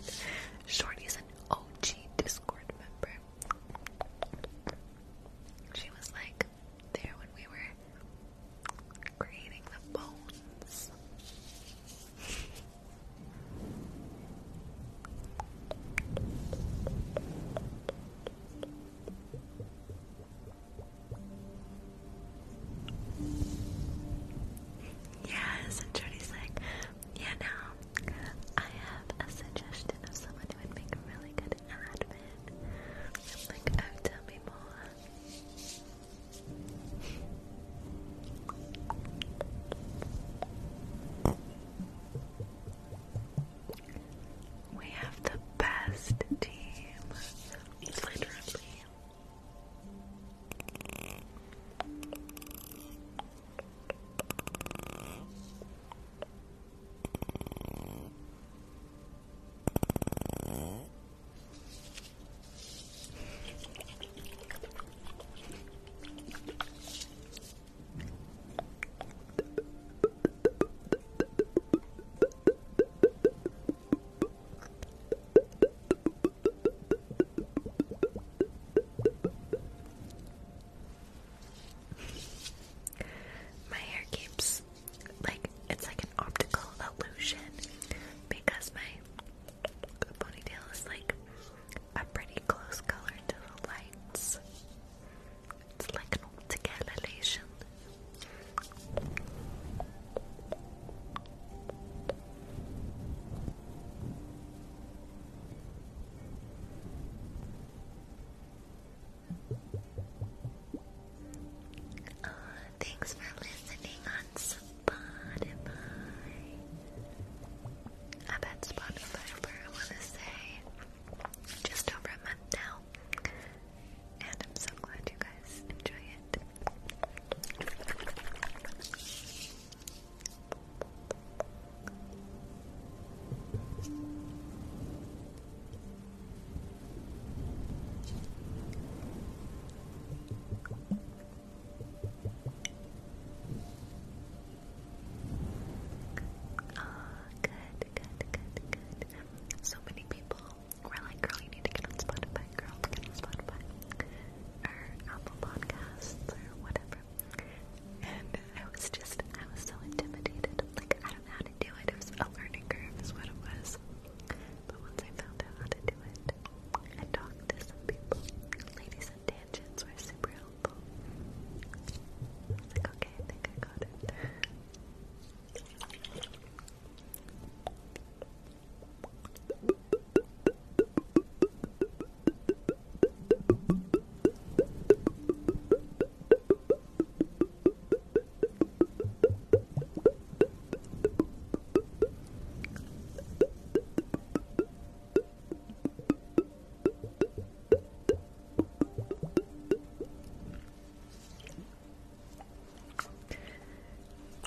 is an OG Discord member. She was like there when we were creating the bones. Yes, and Jody's like, yeah, now I have a suggestion of someone who would make a really good admin. i like, oh, tell me more. We have the best team, literally. My hair keeps like it's like an optical illusion because my the ponytail is like a pretty close color to the lights. It's like an optical elation. Uh, thanks for listening on Spotify. I bet Spotify for I wanna say just over a month now. And I'm so glad you guys enjoy it oh, good, good, good, good. So many people were like, girl, you need to get on Spotify, girl, get on Spotify. Or Apple Podcasts or whatever. And I was just, I was so intimidated. Like, I don't know how to do it. It was a learning curve is what it was. But once I found out how to do it, out and talk to some people. Ladies and tangents were super helpful. like, okay, I think I got it.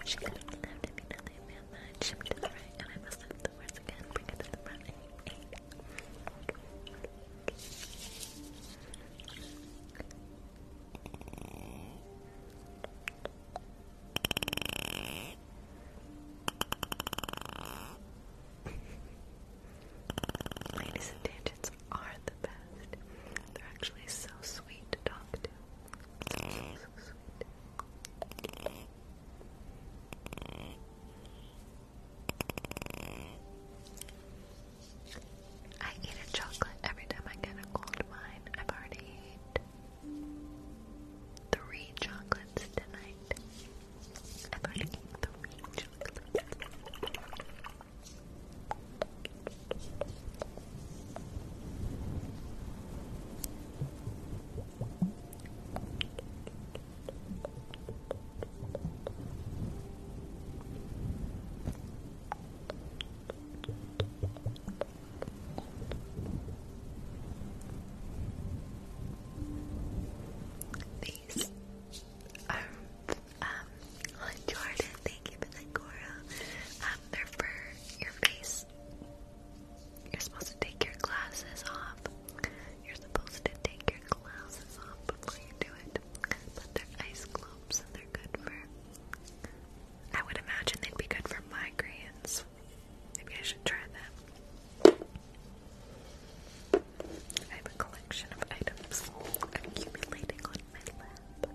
She could have left if you know they man mine. Ship to the right, and I must have the words again. Bring it to the front. Ladies and tangents are the best. They're actually so sweet to talk to. So, sweet. I eat a chocolate every time I get a cold wine. I've already ate three chocolates tonight. I've already three chocolates. These are um Jordan, thank you for the coral. Um, they're for your face. You're supposed to take your glasses off. You're supposed to take your glasses off before you do it. But they're ice globes and they're good for I would imagine they'd be good for migraines. Maybe I should try that. I have a collection of items accumulating on my lap.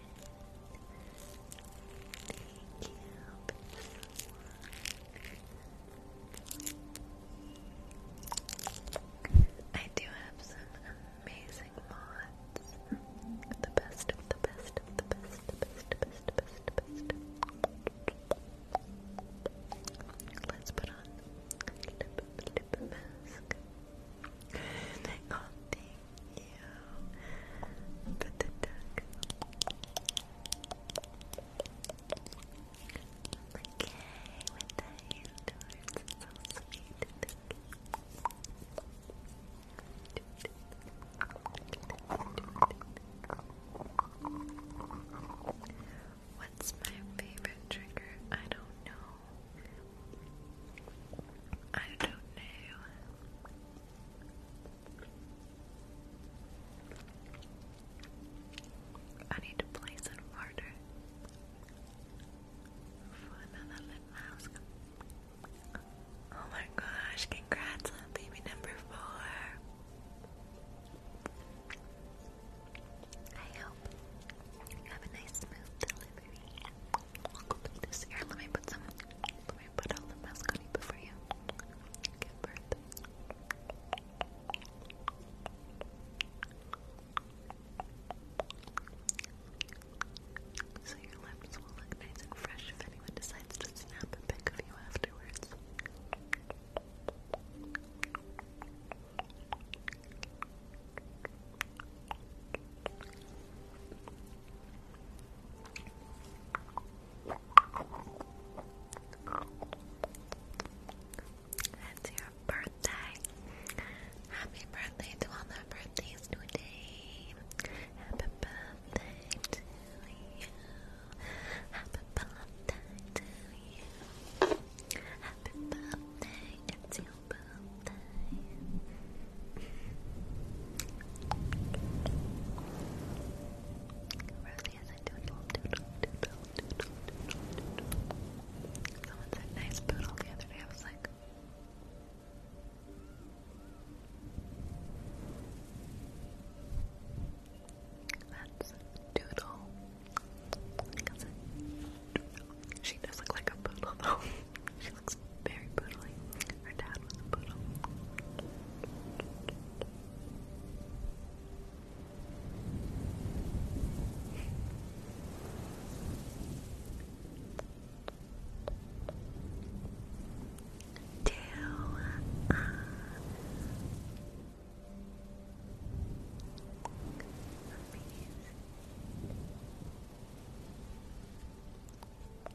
I do have some amazing mods. The best of the best of the best, the best, the best, the best, the best. Let's put on lip lip mask. I got the you for the duck. Okay, What's my favorite trigger? I don't know. I don't know. I need to place an order for another lip mask. Oh my gosh, congrats on baby number four. I hope you have a nice smooth delivery. this here. Let me put some me put all the mascarita for you. Give birth. So your lips will look nice and fresh if anyone decides to snap a pic of you afterwards. That's your birthday. Happy birthday to all the birthdays today. Happy birthday to you. Happy birthday to you. Happy birthday, it's your Rosie is a doodle, doodle, doodle, doodle, doodle, doodle. Someone said nice poodle the other day. I was like, that's doodle. She does look like a poodle though. she looks very poodly. Her dad was a poodle. Do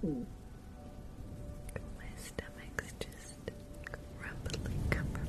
Mm. My stomach's just rumbling comfort.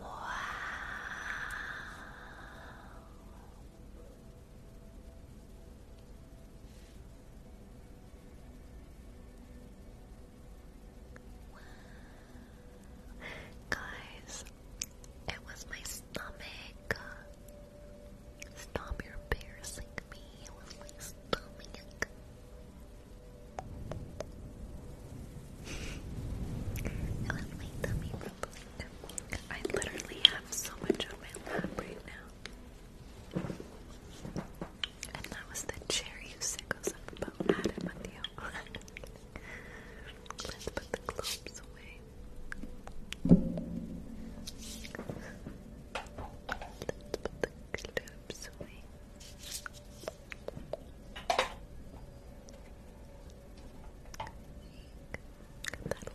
Wow. Guys, it was my stomach. Stop, you embarrassing me. It was my stomach. I literally have so much on my lap right now. And that was the cherry you sickos up about Adam Let's put the clumps away. Let's put the absolutely. That'll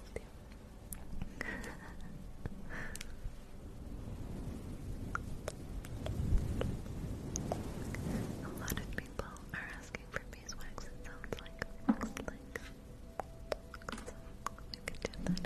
A lot of people are asking for beeswax, it sounds like. Looks like. we can do that again.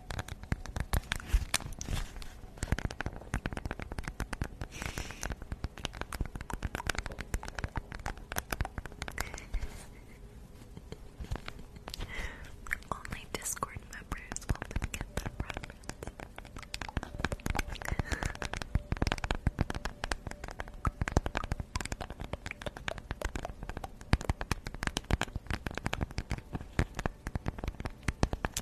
Only Discord members will get that reference.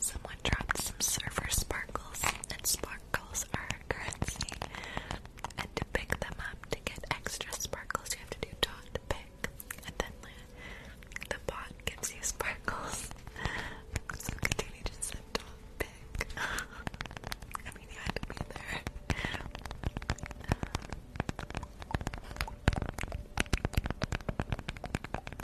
Someone dropped some server sparkles, and sparkles are currency. And to pick them up to get extra sparkles, you have to do dot pick, and then the bot gives you sparkles. So continue just said dot pick. I mean, you had to be there.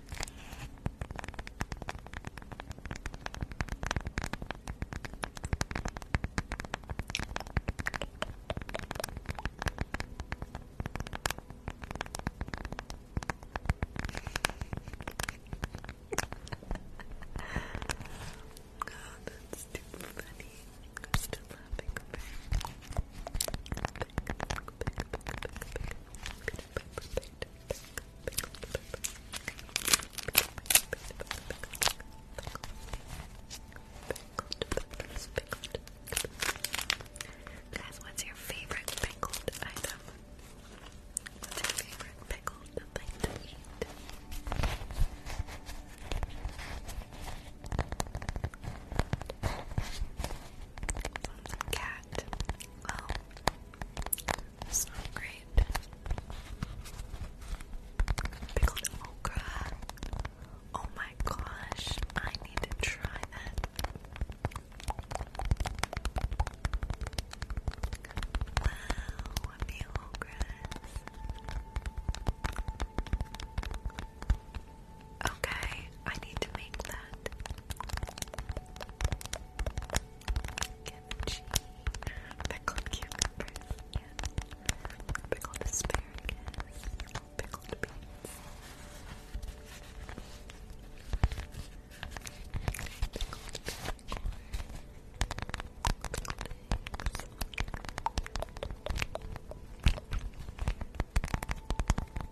oh, that's too funny. I'm still laughing. Guys, what's your favorite pickled item? What's your favorite pickled thing to eat? cat. Well, oh. it's not great. Pickled okra. Oh my gosh, I need to try that. Wow, meal grass. Okay, I need to make that. Pickled cucumbers. Yes. Pickled asparagus. Pickled beans.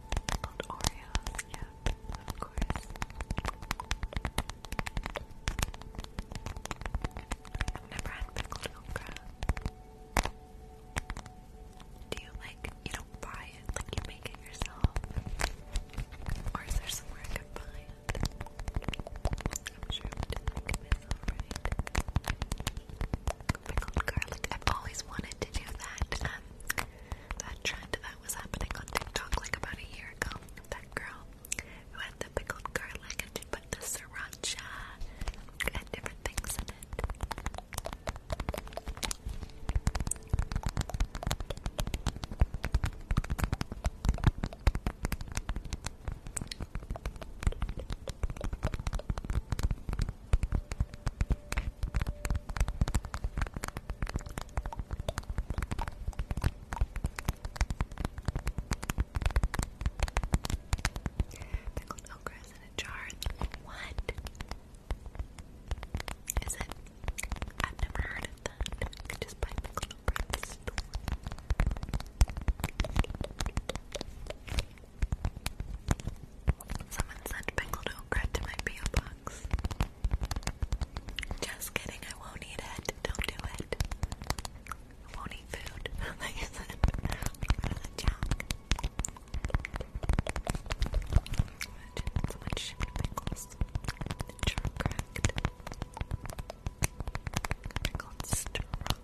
Pickled Oreos. Yeah, up, of course. I've never had pickled okra. Do you like, you don't buy it, like you make it yourself? Or is there somewhere I could buy it? I'm sure I'm doing it like right? Pickled garlic. I've always wanted to do that that trend that was happening on TikTok like about a year ago. That girl who had the pickled garlic and she sriracha and different things in it. Pickled okra in a jar. What? Is it? I've never heard of that. You just buy pickled okra Someone sent pickled okra to my PO just kidding, I won't eat it. Don't do it. won't eat food. like I said, out of junk. So much sugar pickles. True cracked. Pickled strawberry.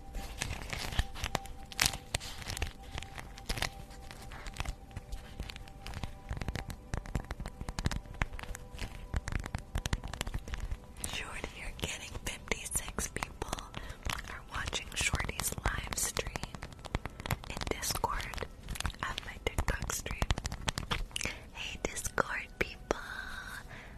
Short, you're getting 56 people are watching Shorty's live stream in Discord of my TikTok stream. Hey Discord people,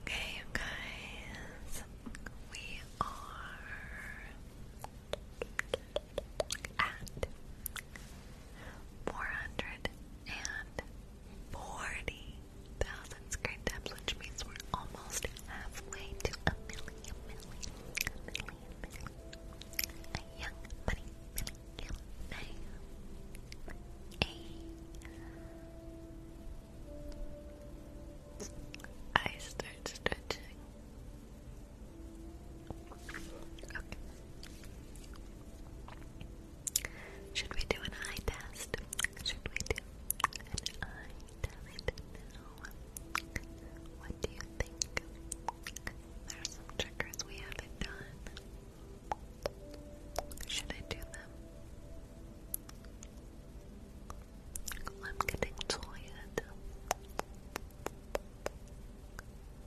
Okay, you guys, we are at 440,000 screen taps, which means we're almost halfway to a million, million, million, million. A young money million A. I start stretching. Should we do an eye test? Should we do an eye test What do you think? There are some triggers we haven't done. Should I do them? I'm getting tired.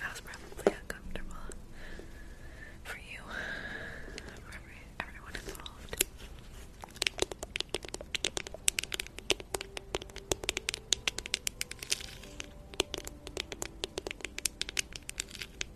That was probably uncomfortable for you, for everyone involved.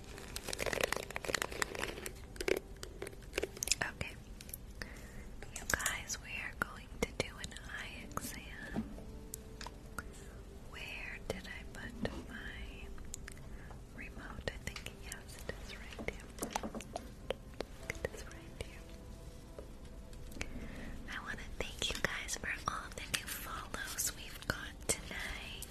Okay. You guys, we are going to do an eye exam. Where did I put my remote? I think, yes, it is right here. I want to thank you guys for all the new follows we've got tonight.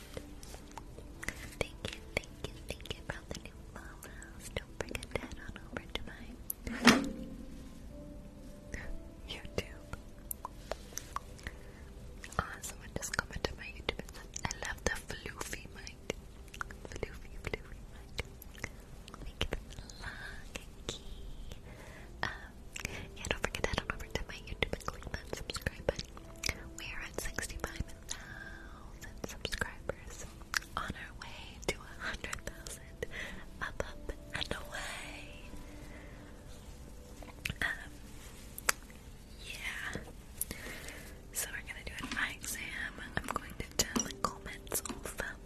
Thank you, thank you, thank you for the new follows. Don't forget to on over to my YouTube. Ah, someone just commented on my YouTube I love the floofy mic. Floofy, floofy mic. Thank you for yeah, don't forget to on over to my YouTube and click that subscribe button. We are at 65 thousand subscribers on our way to a hundred thousand up up and away um, yeah so we're gonna do an exam I'm going to turn the comments off I'm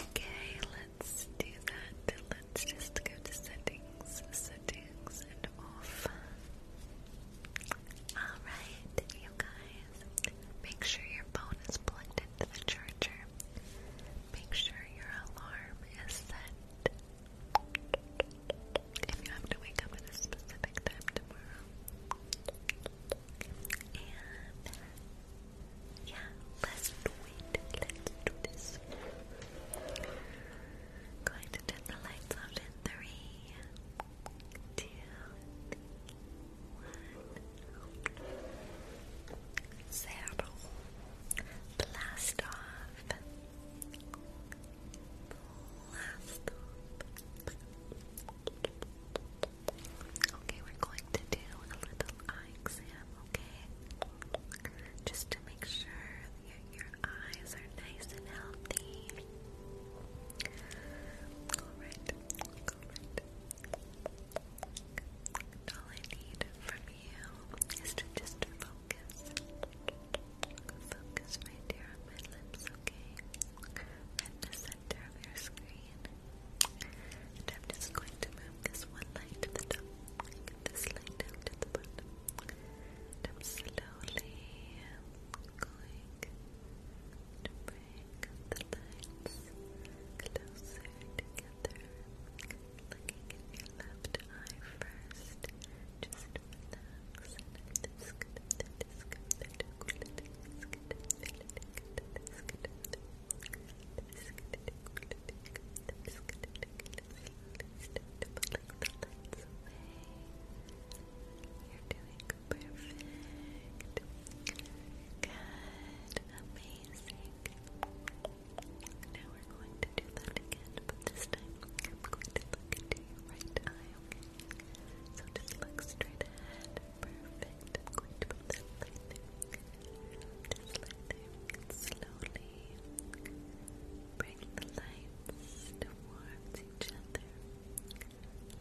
Okay, let's do that. Let's just go to settings, settings, and off. Alright, you guys, make sure your phone is plugged into the charger. Make sure your alarm is set. If you have to wake up at a specific time tomorrow. Yeah, let's do it. Let's do this. Going to turn the lights out in three, two, Blast off. Blast Okay, we're going to do a little eye exam, okay? Just to make sure your, eyes are nice and healthy. Alright, alright. All I need from you is to just focus. Focus right there my lips, okay? center your screen. I'm just going to move this one light to the top this light to the bottom. I'm slowly going to bring the lights closer together. Looking at your left eye first. Just now we're going to do that again, but this time I'm going to look into your right eye, So just look straight ahead. Perfect. i to put this light there. Slowly bring the lights towards each other.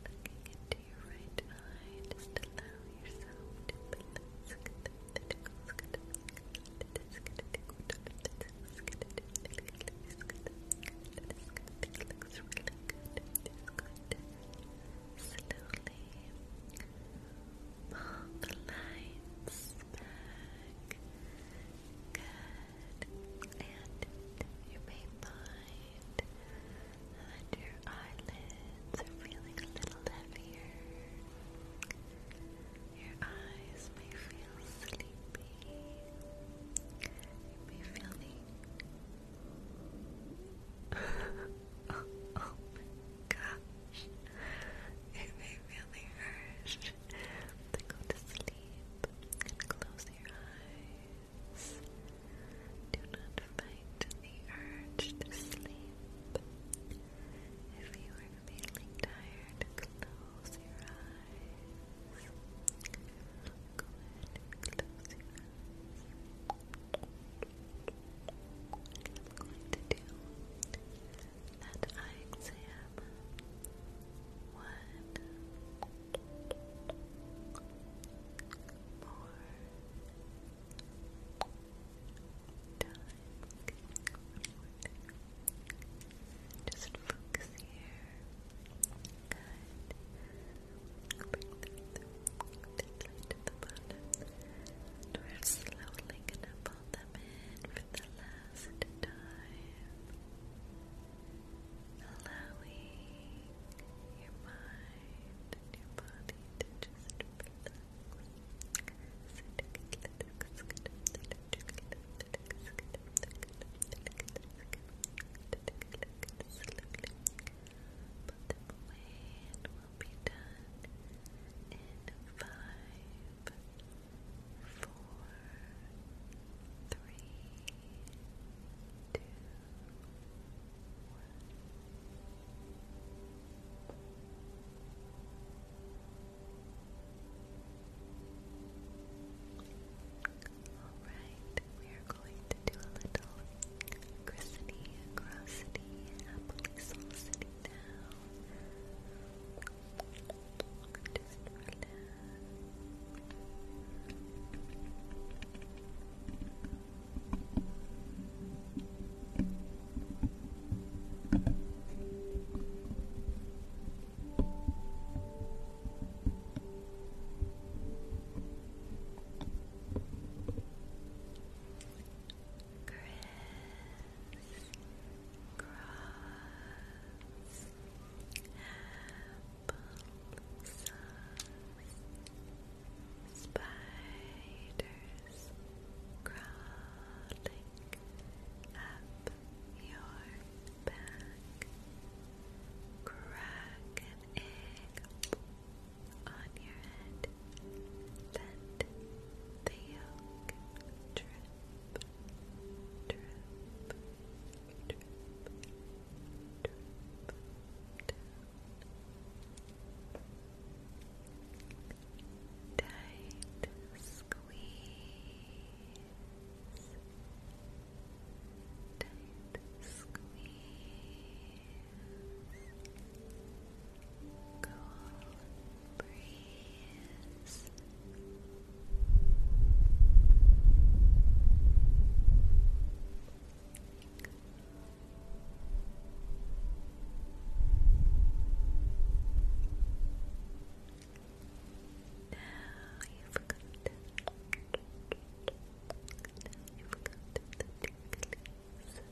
Looking into your right eye. Just allow yourself to balance. This really good. Just going slowly gently pull the lights back. Good. And you may find that your eyelids are feeling a little heavier. Your eyes may feel sleepy. You may feel the oh, oh my gosh. It to go to sleep close your eyes. Do not fight the urge to sleep. If you are feeling tired, close your eyes. close your eyes. I'm going to do that eye exam one more time. Just focus here. Good gently to we're slowly gonna pull them in for the last time. Allowing your mind and your body to just relax. Put them will be done in five, four, three, two, one. All right, we are going to a little Christine, Grossity, Appley Saucity it down. Just relax. Great. Cross applesauce spiders crawling up your back crack an egg on your head. Let the yolk drip, drip, drip, drip down. Tight squeeze. Tight squeeze cool breeze. Now you forgot. Now you Now you forgot the tingles.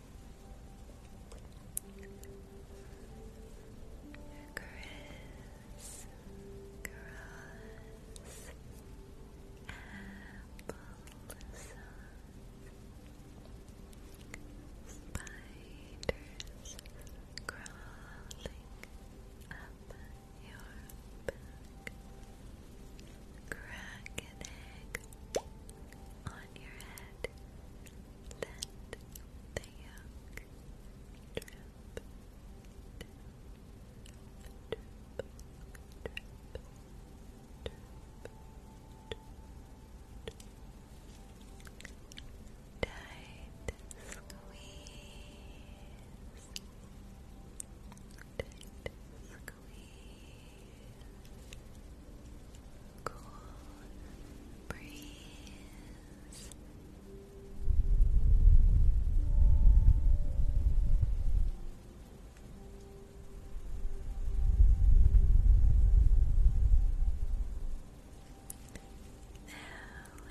Chris, Gross, Apple Spiders crawling up your back. Crack an egg on your head. Let the yolk Tight squeeze. Tight squeeze cool breeze. Now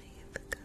you've got. Now you've got.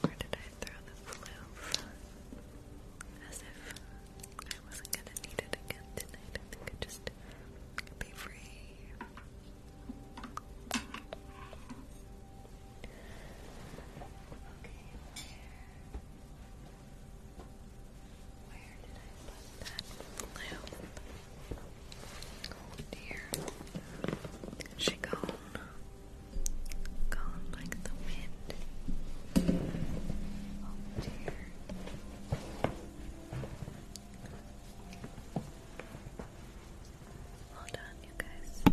Where did I throw the floof? As if I wasn't gonna need it again tonight. I think I'd just be free. Okay, where? Where did I put that bloom? Oh dear. She gone. Gone like the wind. Oh dear. Hold on, you guys.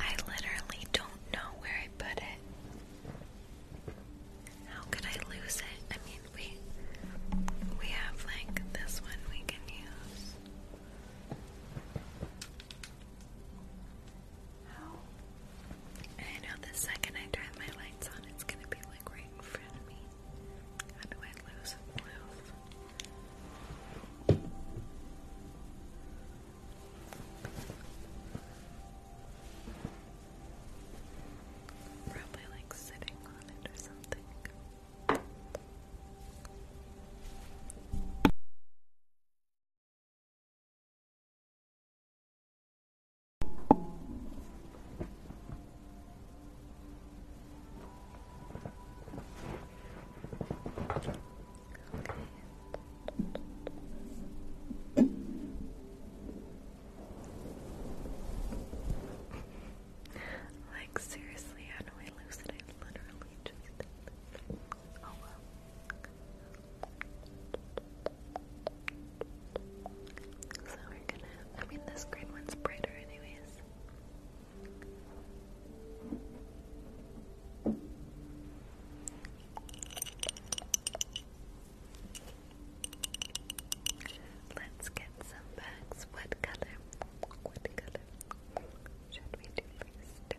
I literally don't know where I put it. How could I lose it? I mean, we we have like this one we can use. I know the second I turn my lights on, it's gonna be like right in front of me. Probably like sitting on it or something. Okay. like seriously, how do I lose it? I literally just. So we're gonna, I mean, this green one's brighter, anyways. Let's get some bags. What color? What color should we do first?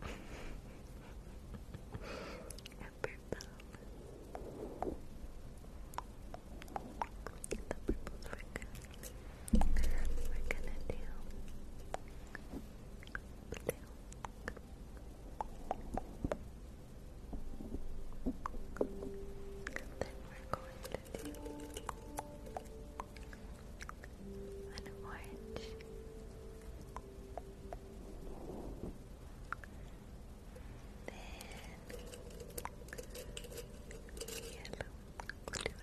purple. The we're gonna, we're gonna do do then we are going to do an orange, then yellow. We'll yellow. yellow.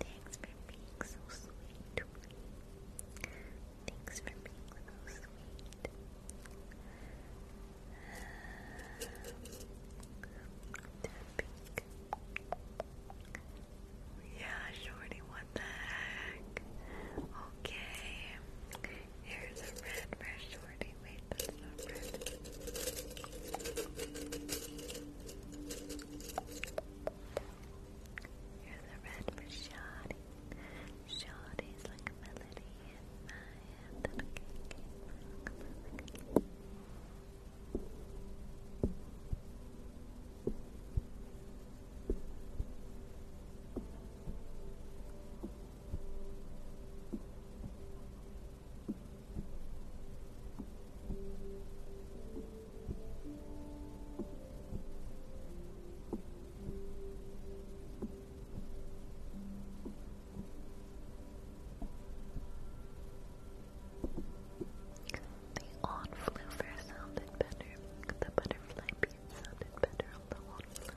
Thanks for being so sweet to me. Thanks for being so sweet. Yeah, Shorty, what the heck? Okay. Here's a red for Shorty. Wait, that's not Here's a red for Shorty. Shorty's like a melody in my am that I came from. Thank the on sounded better. The butterfly sounded better on the on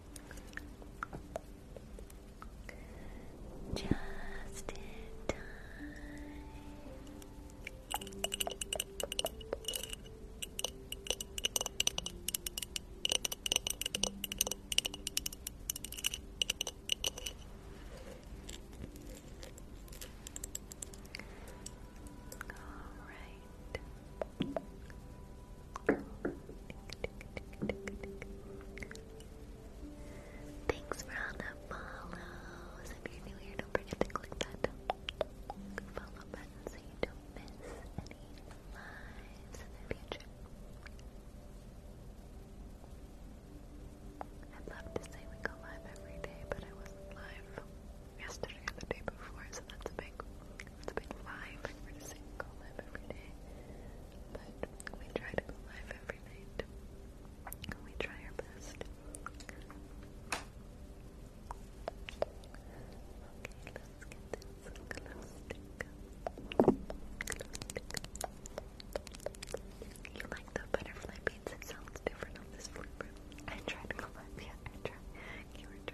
Just in time. All right. Thanks for all the follows. If you're new here, don't forget to click that follow button so you don't miss any lives in the future. I'd love to say we go live every day, but I wasn't live yesterday or the day before, so that's a big it's been live, like we live every day. But we try to go live every night. We try our best. You like the butterfly It sounds different on this flipper. I tried to go live, yeah, I tried. You were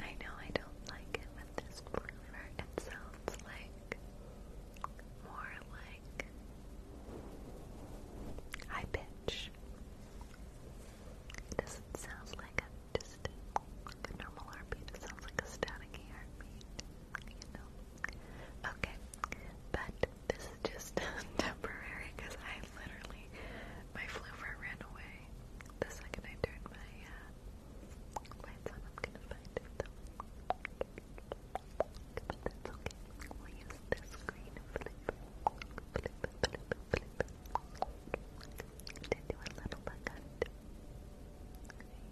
I know I don't like it with this flavor. It sounds like more like high pitch. It doesn't sound like a just like a normal heartbeat. It sounds like a staticky heartbeat, you know. Okay, but this is just temporary because I literally my floover ran away the second I turned my uh, lights on. I'm gonna find it But that's okay. We'll use this green flip, flip, flip, flip to do a little bug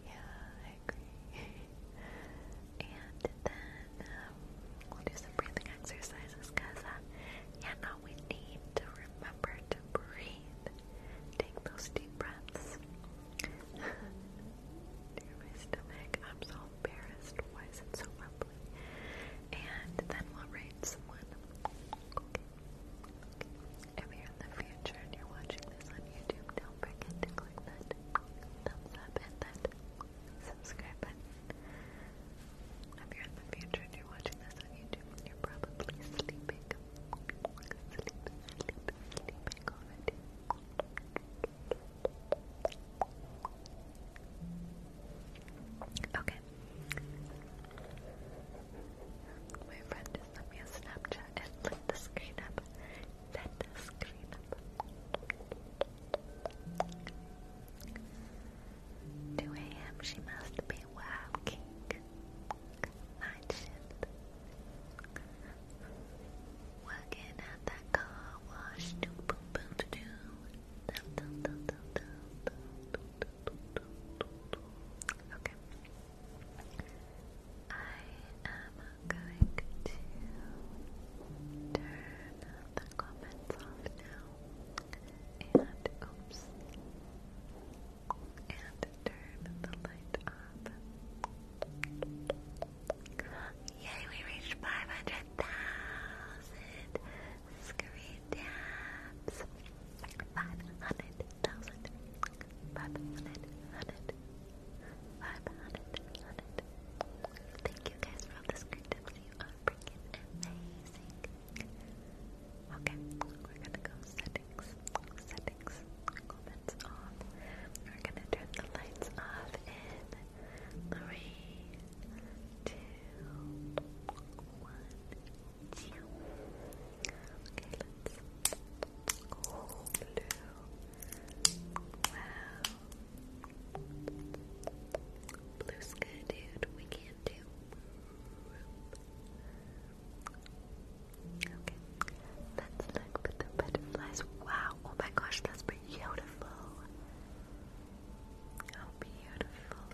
Yeah, I agree. and then we'll do some breathing exercises because, yeah, no, we need to remember to breathe. Take those deep breaths. Dear my stomach, I'm so embarrassed. Why is it so rumbly? And then we'll rate someone. If you're in the future and you're watching this on YouTube, don't forget to click that thumbs up and that subscribe button. If you're in the future and you're watching this on YouTube, you're probably sleeping. Okay, my friend just sent me a Snapchat and lit the screen up. Lit the screen up. 2 a.m. She must be wow king. Night Working at that car wash. Do boom boom to Okay. I am going to turn the comments off now. And And turn the light off. Yay, we reached 500,000 dabs. Thank you guys for all the screen tips. You are freaking amazing. Okay, we're gonna go settings, settings, comments off. We're gonna turn the lights off in three, two, one. Okay, let's oh, blue. Wow. Blue's good, dude. We can do Okay. Let's look at the butterflies. Wow. Oh my gosh, that's beautiful. How beautiful.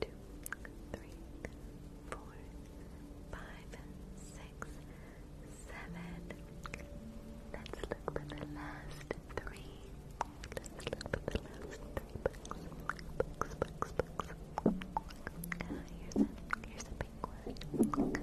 two, three, four, five, six, seven. Let's look for the last three. Let's look for the last three books. Books, books, here's, a, here's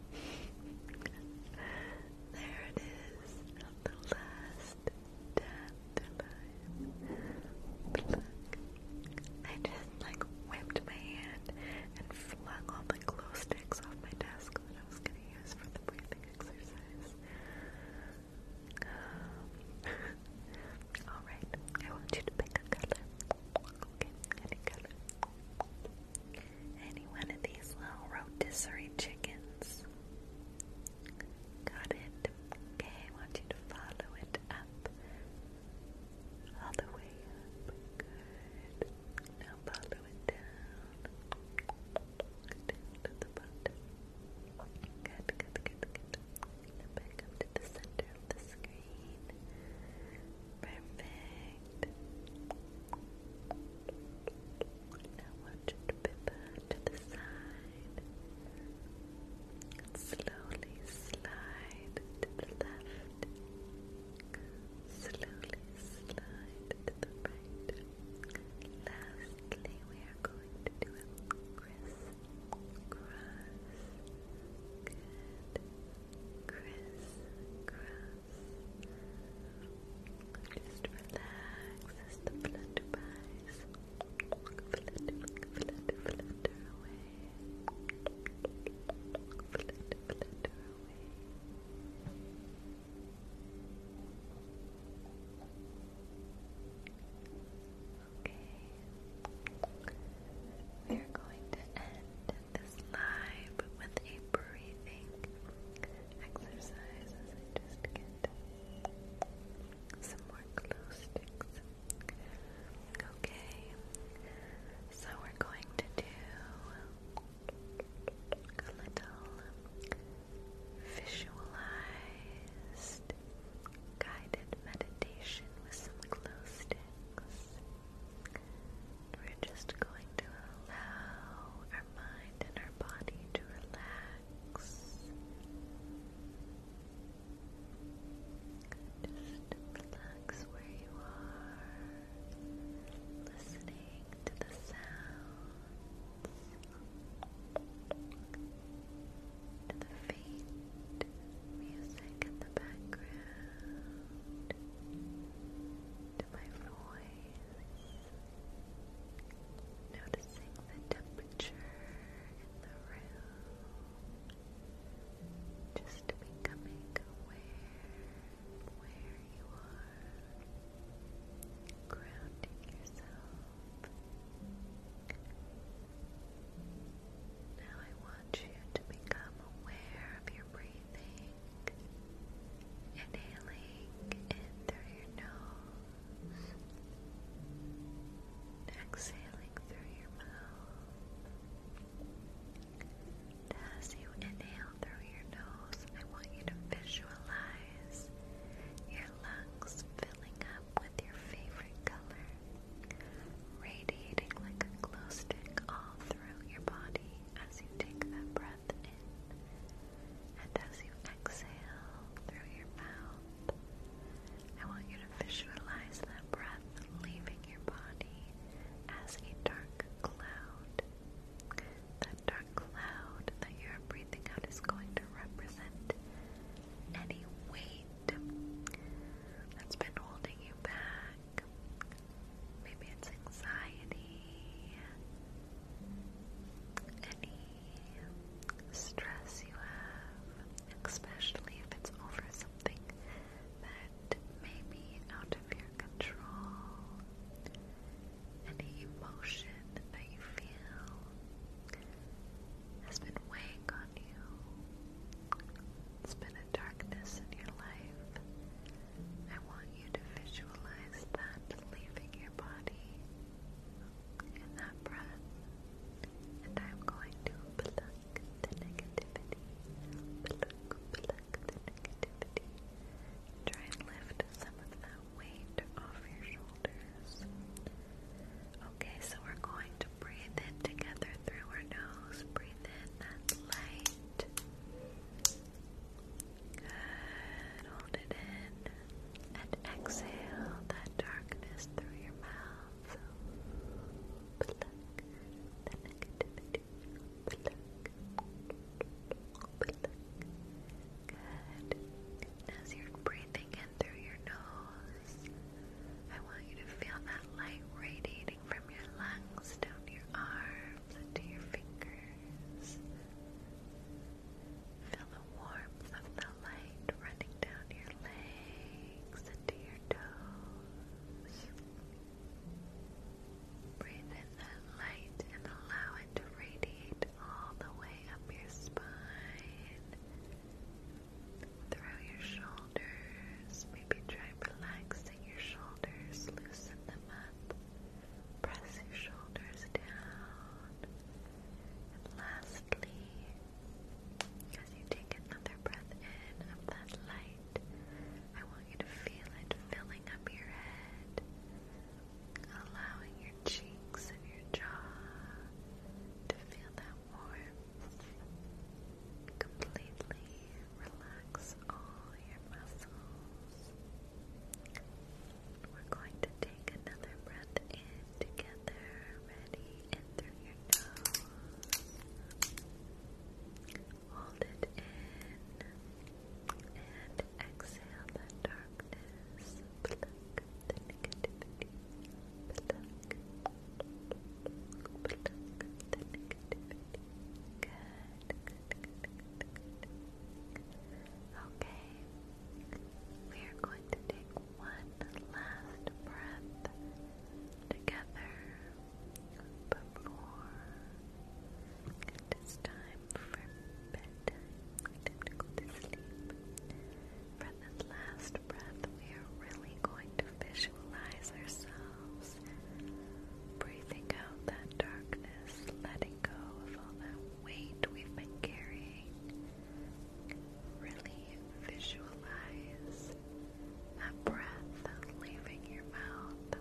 there it is, the last dandelion. I just like whipped my hand and flung all the glow sticks off my desk that I was going to use for the breathing exercise. Alright, I want you to pick a color any one of these little rotisserie chickens. Got it. Okay, I want you to follow it up. All the way up. Good. Now follow it down. to the bottom. Good, good, good, good. Now back up to the center of the screen. Perfect. I want you pivot to the side slowly slide to the left, slowly slide to the right. Lastly, we are going to do a criss cross. Criss-cross. Just relax the flutterbys flutter, flutter, flutter away. Flutter, flutter away. Okay. We're going to end this live with a breathing exercise just get some more glue sticks. Okay, so we're going to do a little visualized guided meditation with some glue sticks. We're just going to allow our mind and our body to relax. Just relax where you are, listening to the sounds, to the faint music in the background, to my voice noticing the temperature in the room, just becoming aware of where you are, grounding yourself. Now I want you to become aware of your breathing inhaling through your nose, exhaling through your mouth. As you inhale through your nose, I want you to visualize your lungs filling up with your favorite color, radiating like a glow stick all through your body as you take that breath and as you exhale through your mouth, I want you to visualize that breath leaving your body as a dark cloud. That dark cloud that you're breathing out is going to represent any weight that's been holding you back, Maybe it's anxiety, any stress you have, especially if it's over something that may be out of your control, any emotion that you feel has been weighing on you. It's been a darkness in your life. I want you to visualize that leaving your body in that breath. And I'm going to pluck the negativity. Pluck, pluck the negativity. Try and lift some of that weight off your shoulders. Okay, so we're going to breathe in together through our nose. Breathe in that light. Good. Hold it in. And exhale that darkness through your mouth. Good. As you're breathing in through your nose, I want you to feel that light radiating from your lungs down your arms warmth your fingers. Feel the warmth of the light running down your legs into your toes. Breathe in that light and allow it to radiate all the way up your spine, through your shoulders. Maybe try relaxing your shoulders, loosen them up. Press your shoulders down. And lastly, as you take another breath in of that light, I want you to feel it filling up your head, allowing your cheeks and your jaw to feel that warmth. Completely relax all your muscles. We're going to take another breath in together. Ready? In through your nose. Hold it in. And exhale the darkness. Good good, good, Okay, we are going to take one last breath together before it is time for bedtime. to go to sleep. For this last breath, we are really going to visualize ourselves breathing out that darkness, letting go of all that weight we've been carrying. Really visualize that breath leaving your mouth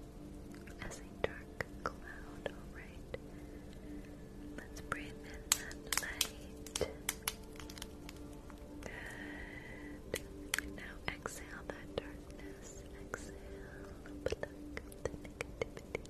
as a dark cloud, alright? Let's breathe in that light. Good. And now exhale that darkness. Exhale.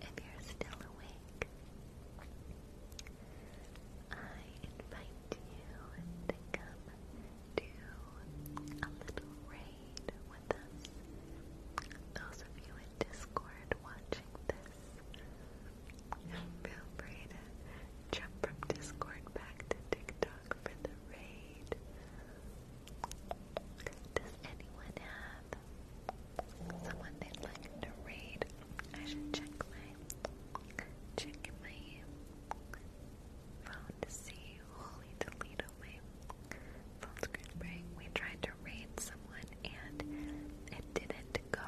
If you're still awake, I invite you to come do a little raid with us. Those of you in Discord watching this Feel free jump from Discord back to TikTok for the raid. Does anyone have someone they'd like to raid? I should check my check my phone to see. Holy Toledo, my phone screen break. We tried to raid someone and it didn't go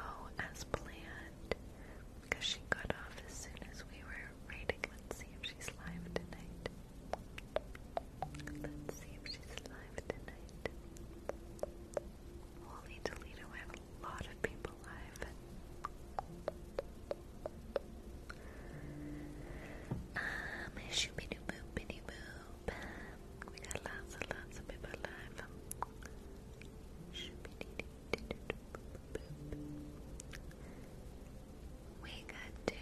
as planned because she got off as soon as we were waiting. Let's see if she's live tonight. Let's see if she's live tonight. Holy Toledo, I have a lot of people live. Um, shoo-bidoo boop, bidoo boop. We got lots and lots of people live. Shoo-bidoo we could do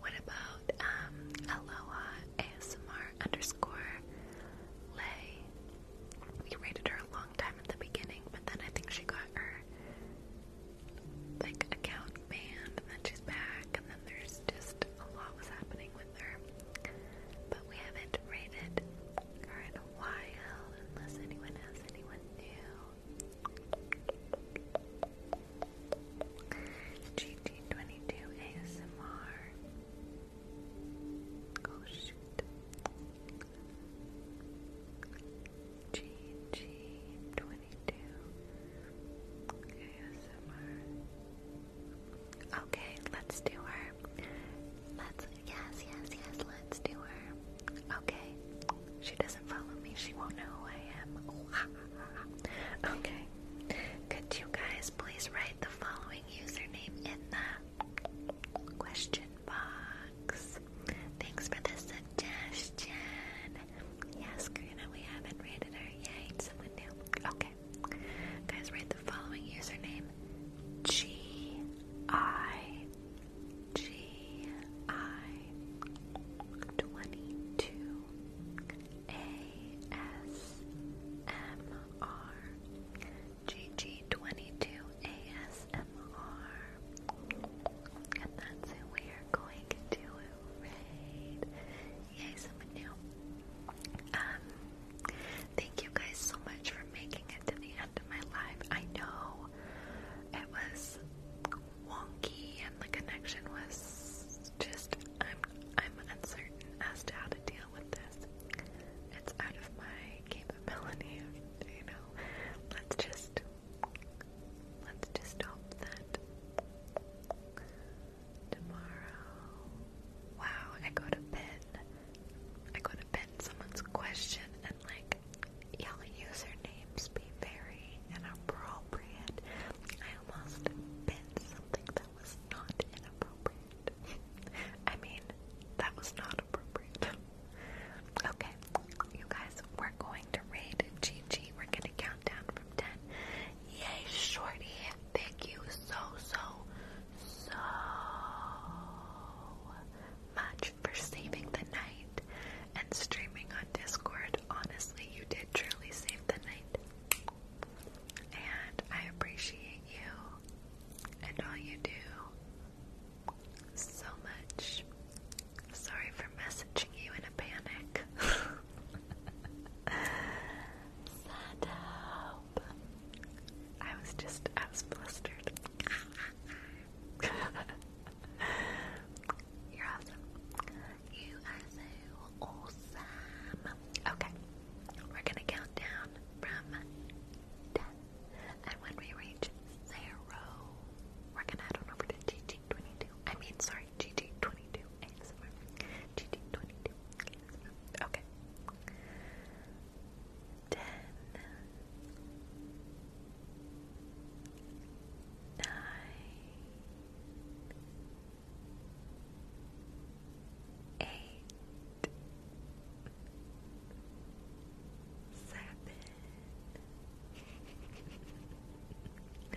what about um Aloha ASMR underscore Lay? We rated her a long time at the beginning, but then I think she got her like account banned and then she's back and then there's just a lot was happening with her, but we haven't rated in a while, unless anyone has anyone new. GT22 ASMR. Oh shoot. GG22 Okay, let's do her. Let's, yes, yes, yes, let's do her. Okay, she doesn't follow me, she won't know who I am. Okay, could you guys please write the following username in the question box? Thanks for the suggestion. Yes, Karina, we haven't rated her. Yay, someone new. Okay. Okay. Guys, write the following username G I G I 22 A S M R G G 22 A S M R. And that's who we are going to raid. Yay, someone new. thank you guys so much for making it to the end of my live. I know it was wonky and the connection was just I'm I'm uncertain as to how to deal with this. It's out of my capability, you know. Let's just let's just hope that Tomorrow. Wow, I go to pin. I go to pin someone's question and like you usernames be very inappropriate. I almost pinned something that was not inappropriate. I mean, that was not appropriate. okay, you guys, we're going to raid Gigi. We're gonna count down from ten. Yay, shorty! Thank you so, so, so much for saving the night and streaming on Discord. Honestly, you did truly save the night. And I appreciate you and all you do so much. Sorry for messaging you in a panic. Send help. I was just, I was blistered. You're awesome. You are so awesome. Okay, we're gonna count down from ten, and when we reach zero, we're gonna head on over to GG22. I mean, sorry, GG22 ASMR. 22 Okay. Ten, nine, eight, seven, six. Five,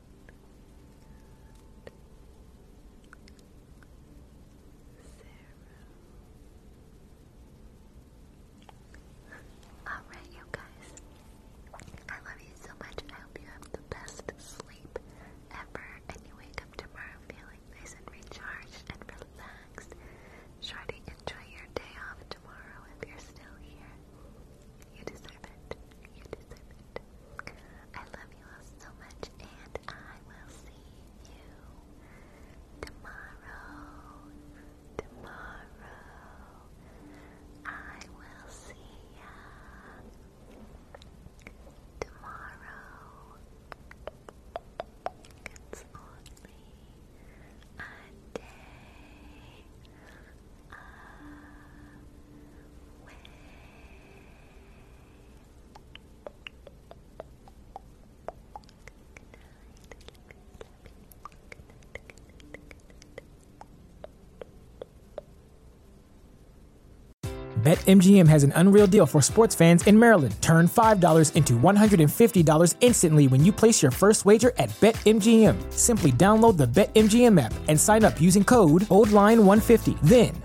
Alright, you guys. I love you so much. I hope you have the best sleep ever and you wake up tomorrow feeling nice and recharged and relaxed. Shorty, enjoy your day off tomorrow if you're still here. You deserve it. You deserve it. I love you all so much, and I will see you tomorrow. Tomorrow, I will see ya. Tomorrow, it's only a day away. BetMGM has an unreal deal for sports fans in Maryland. Turn $5 into $150 instantly when you place your first wager at BetMGM. Simply download the BetMGM app and sign up using code OldLine150. Then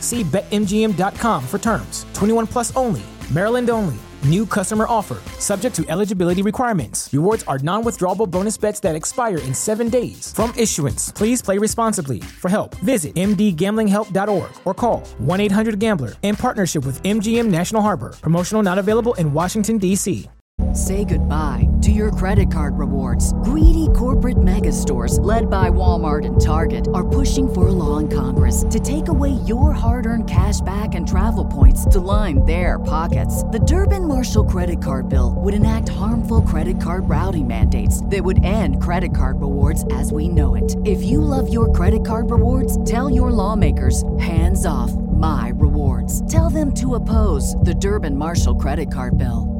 See BetMGM.com for terms. 21 plus only. Maryland only. New customer offer. Subject to eligibility requirements. Rewards are non withdrawable bonus bets that expire in seven days. From issuance, please play responsibly. For help, visit MDGamblingHelp.org or call 1 800 Gambler in partnership with MGM National Harbor. Promotional not available in Washington, D.C. Say goodbye to your credit card rewards. Greedy corporate mega stores, led by Walmart and Target are pushing for a law in Congress to take away your hard earned cash back and travel points to line their pockets. The Durbin Marshall credit card bill would enact harmful credit card routing mandates that would end credit card rewards as we know it. If you love your credit card rewards, tell your lawmakers hands off my rewards. Tell them to oppose the Durbin Marshall credit card bill.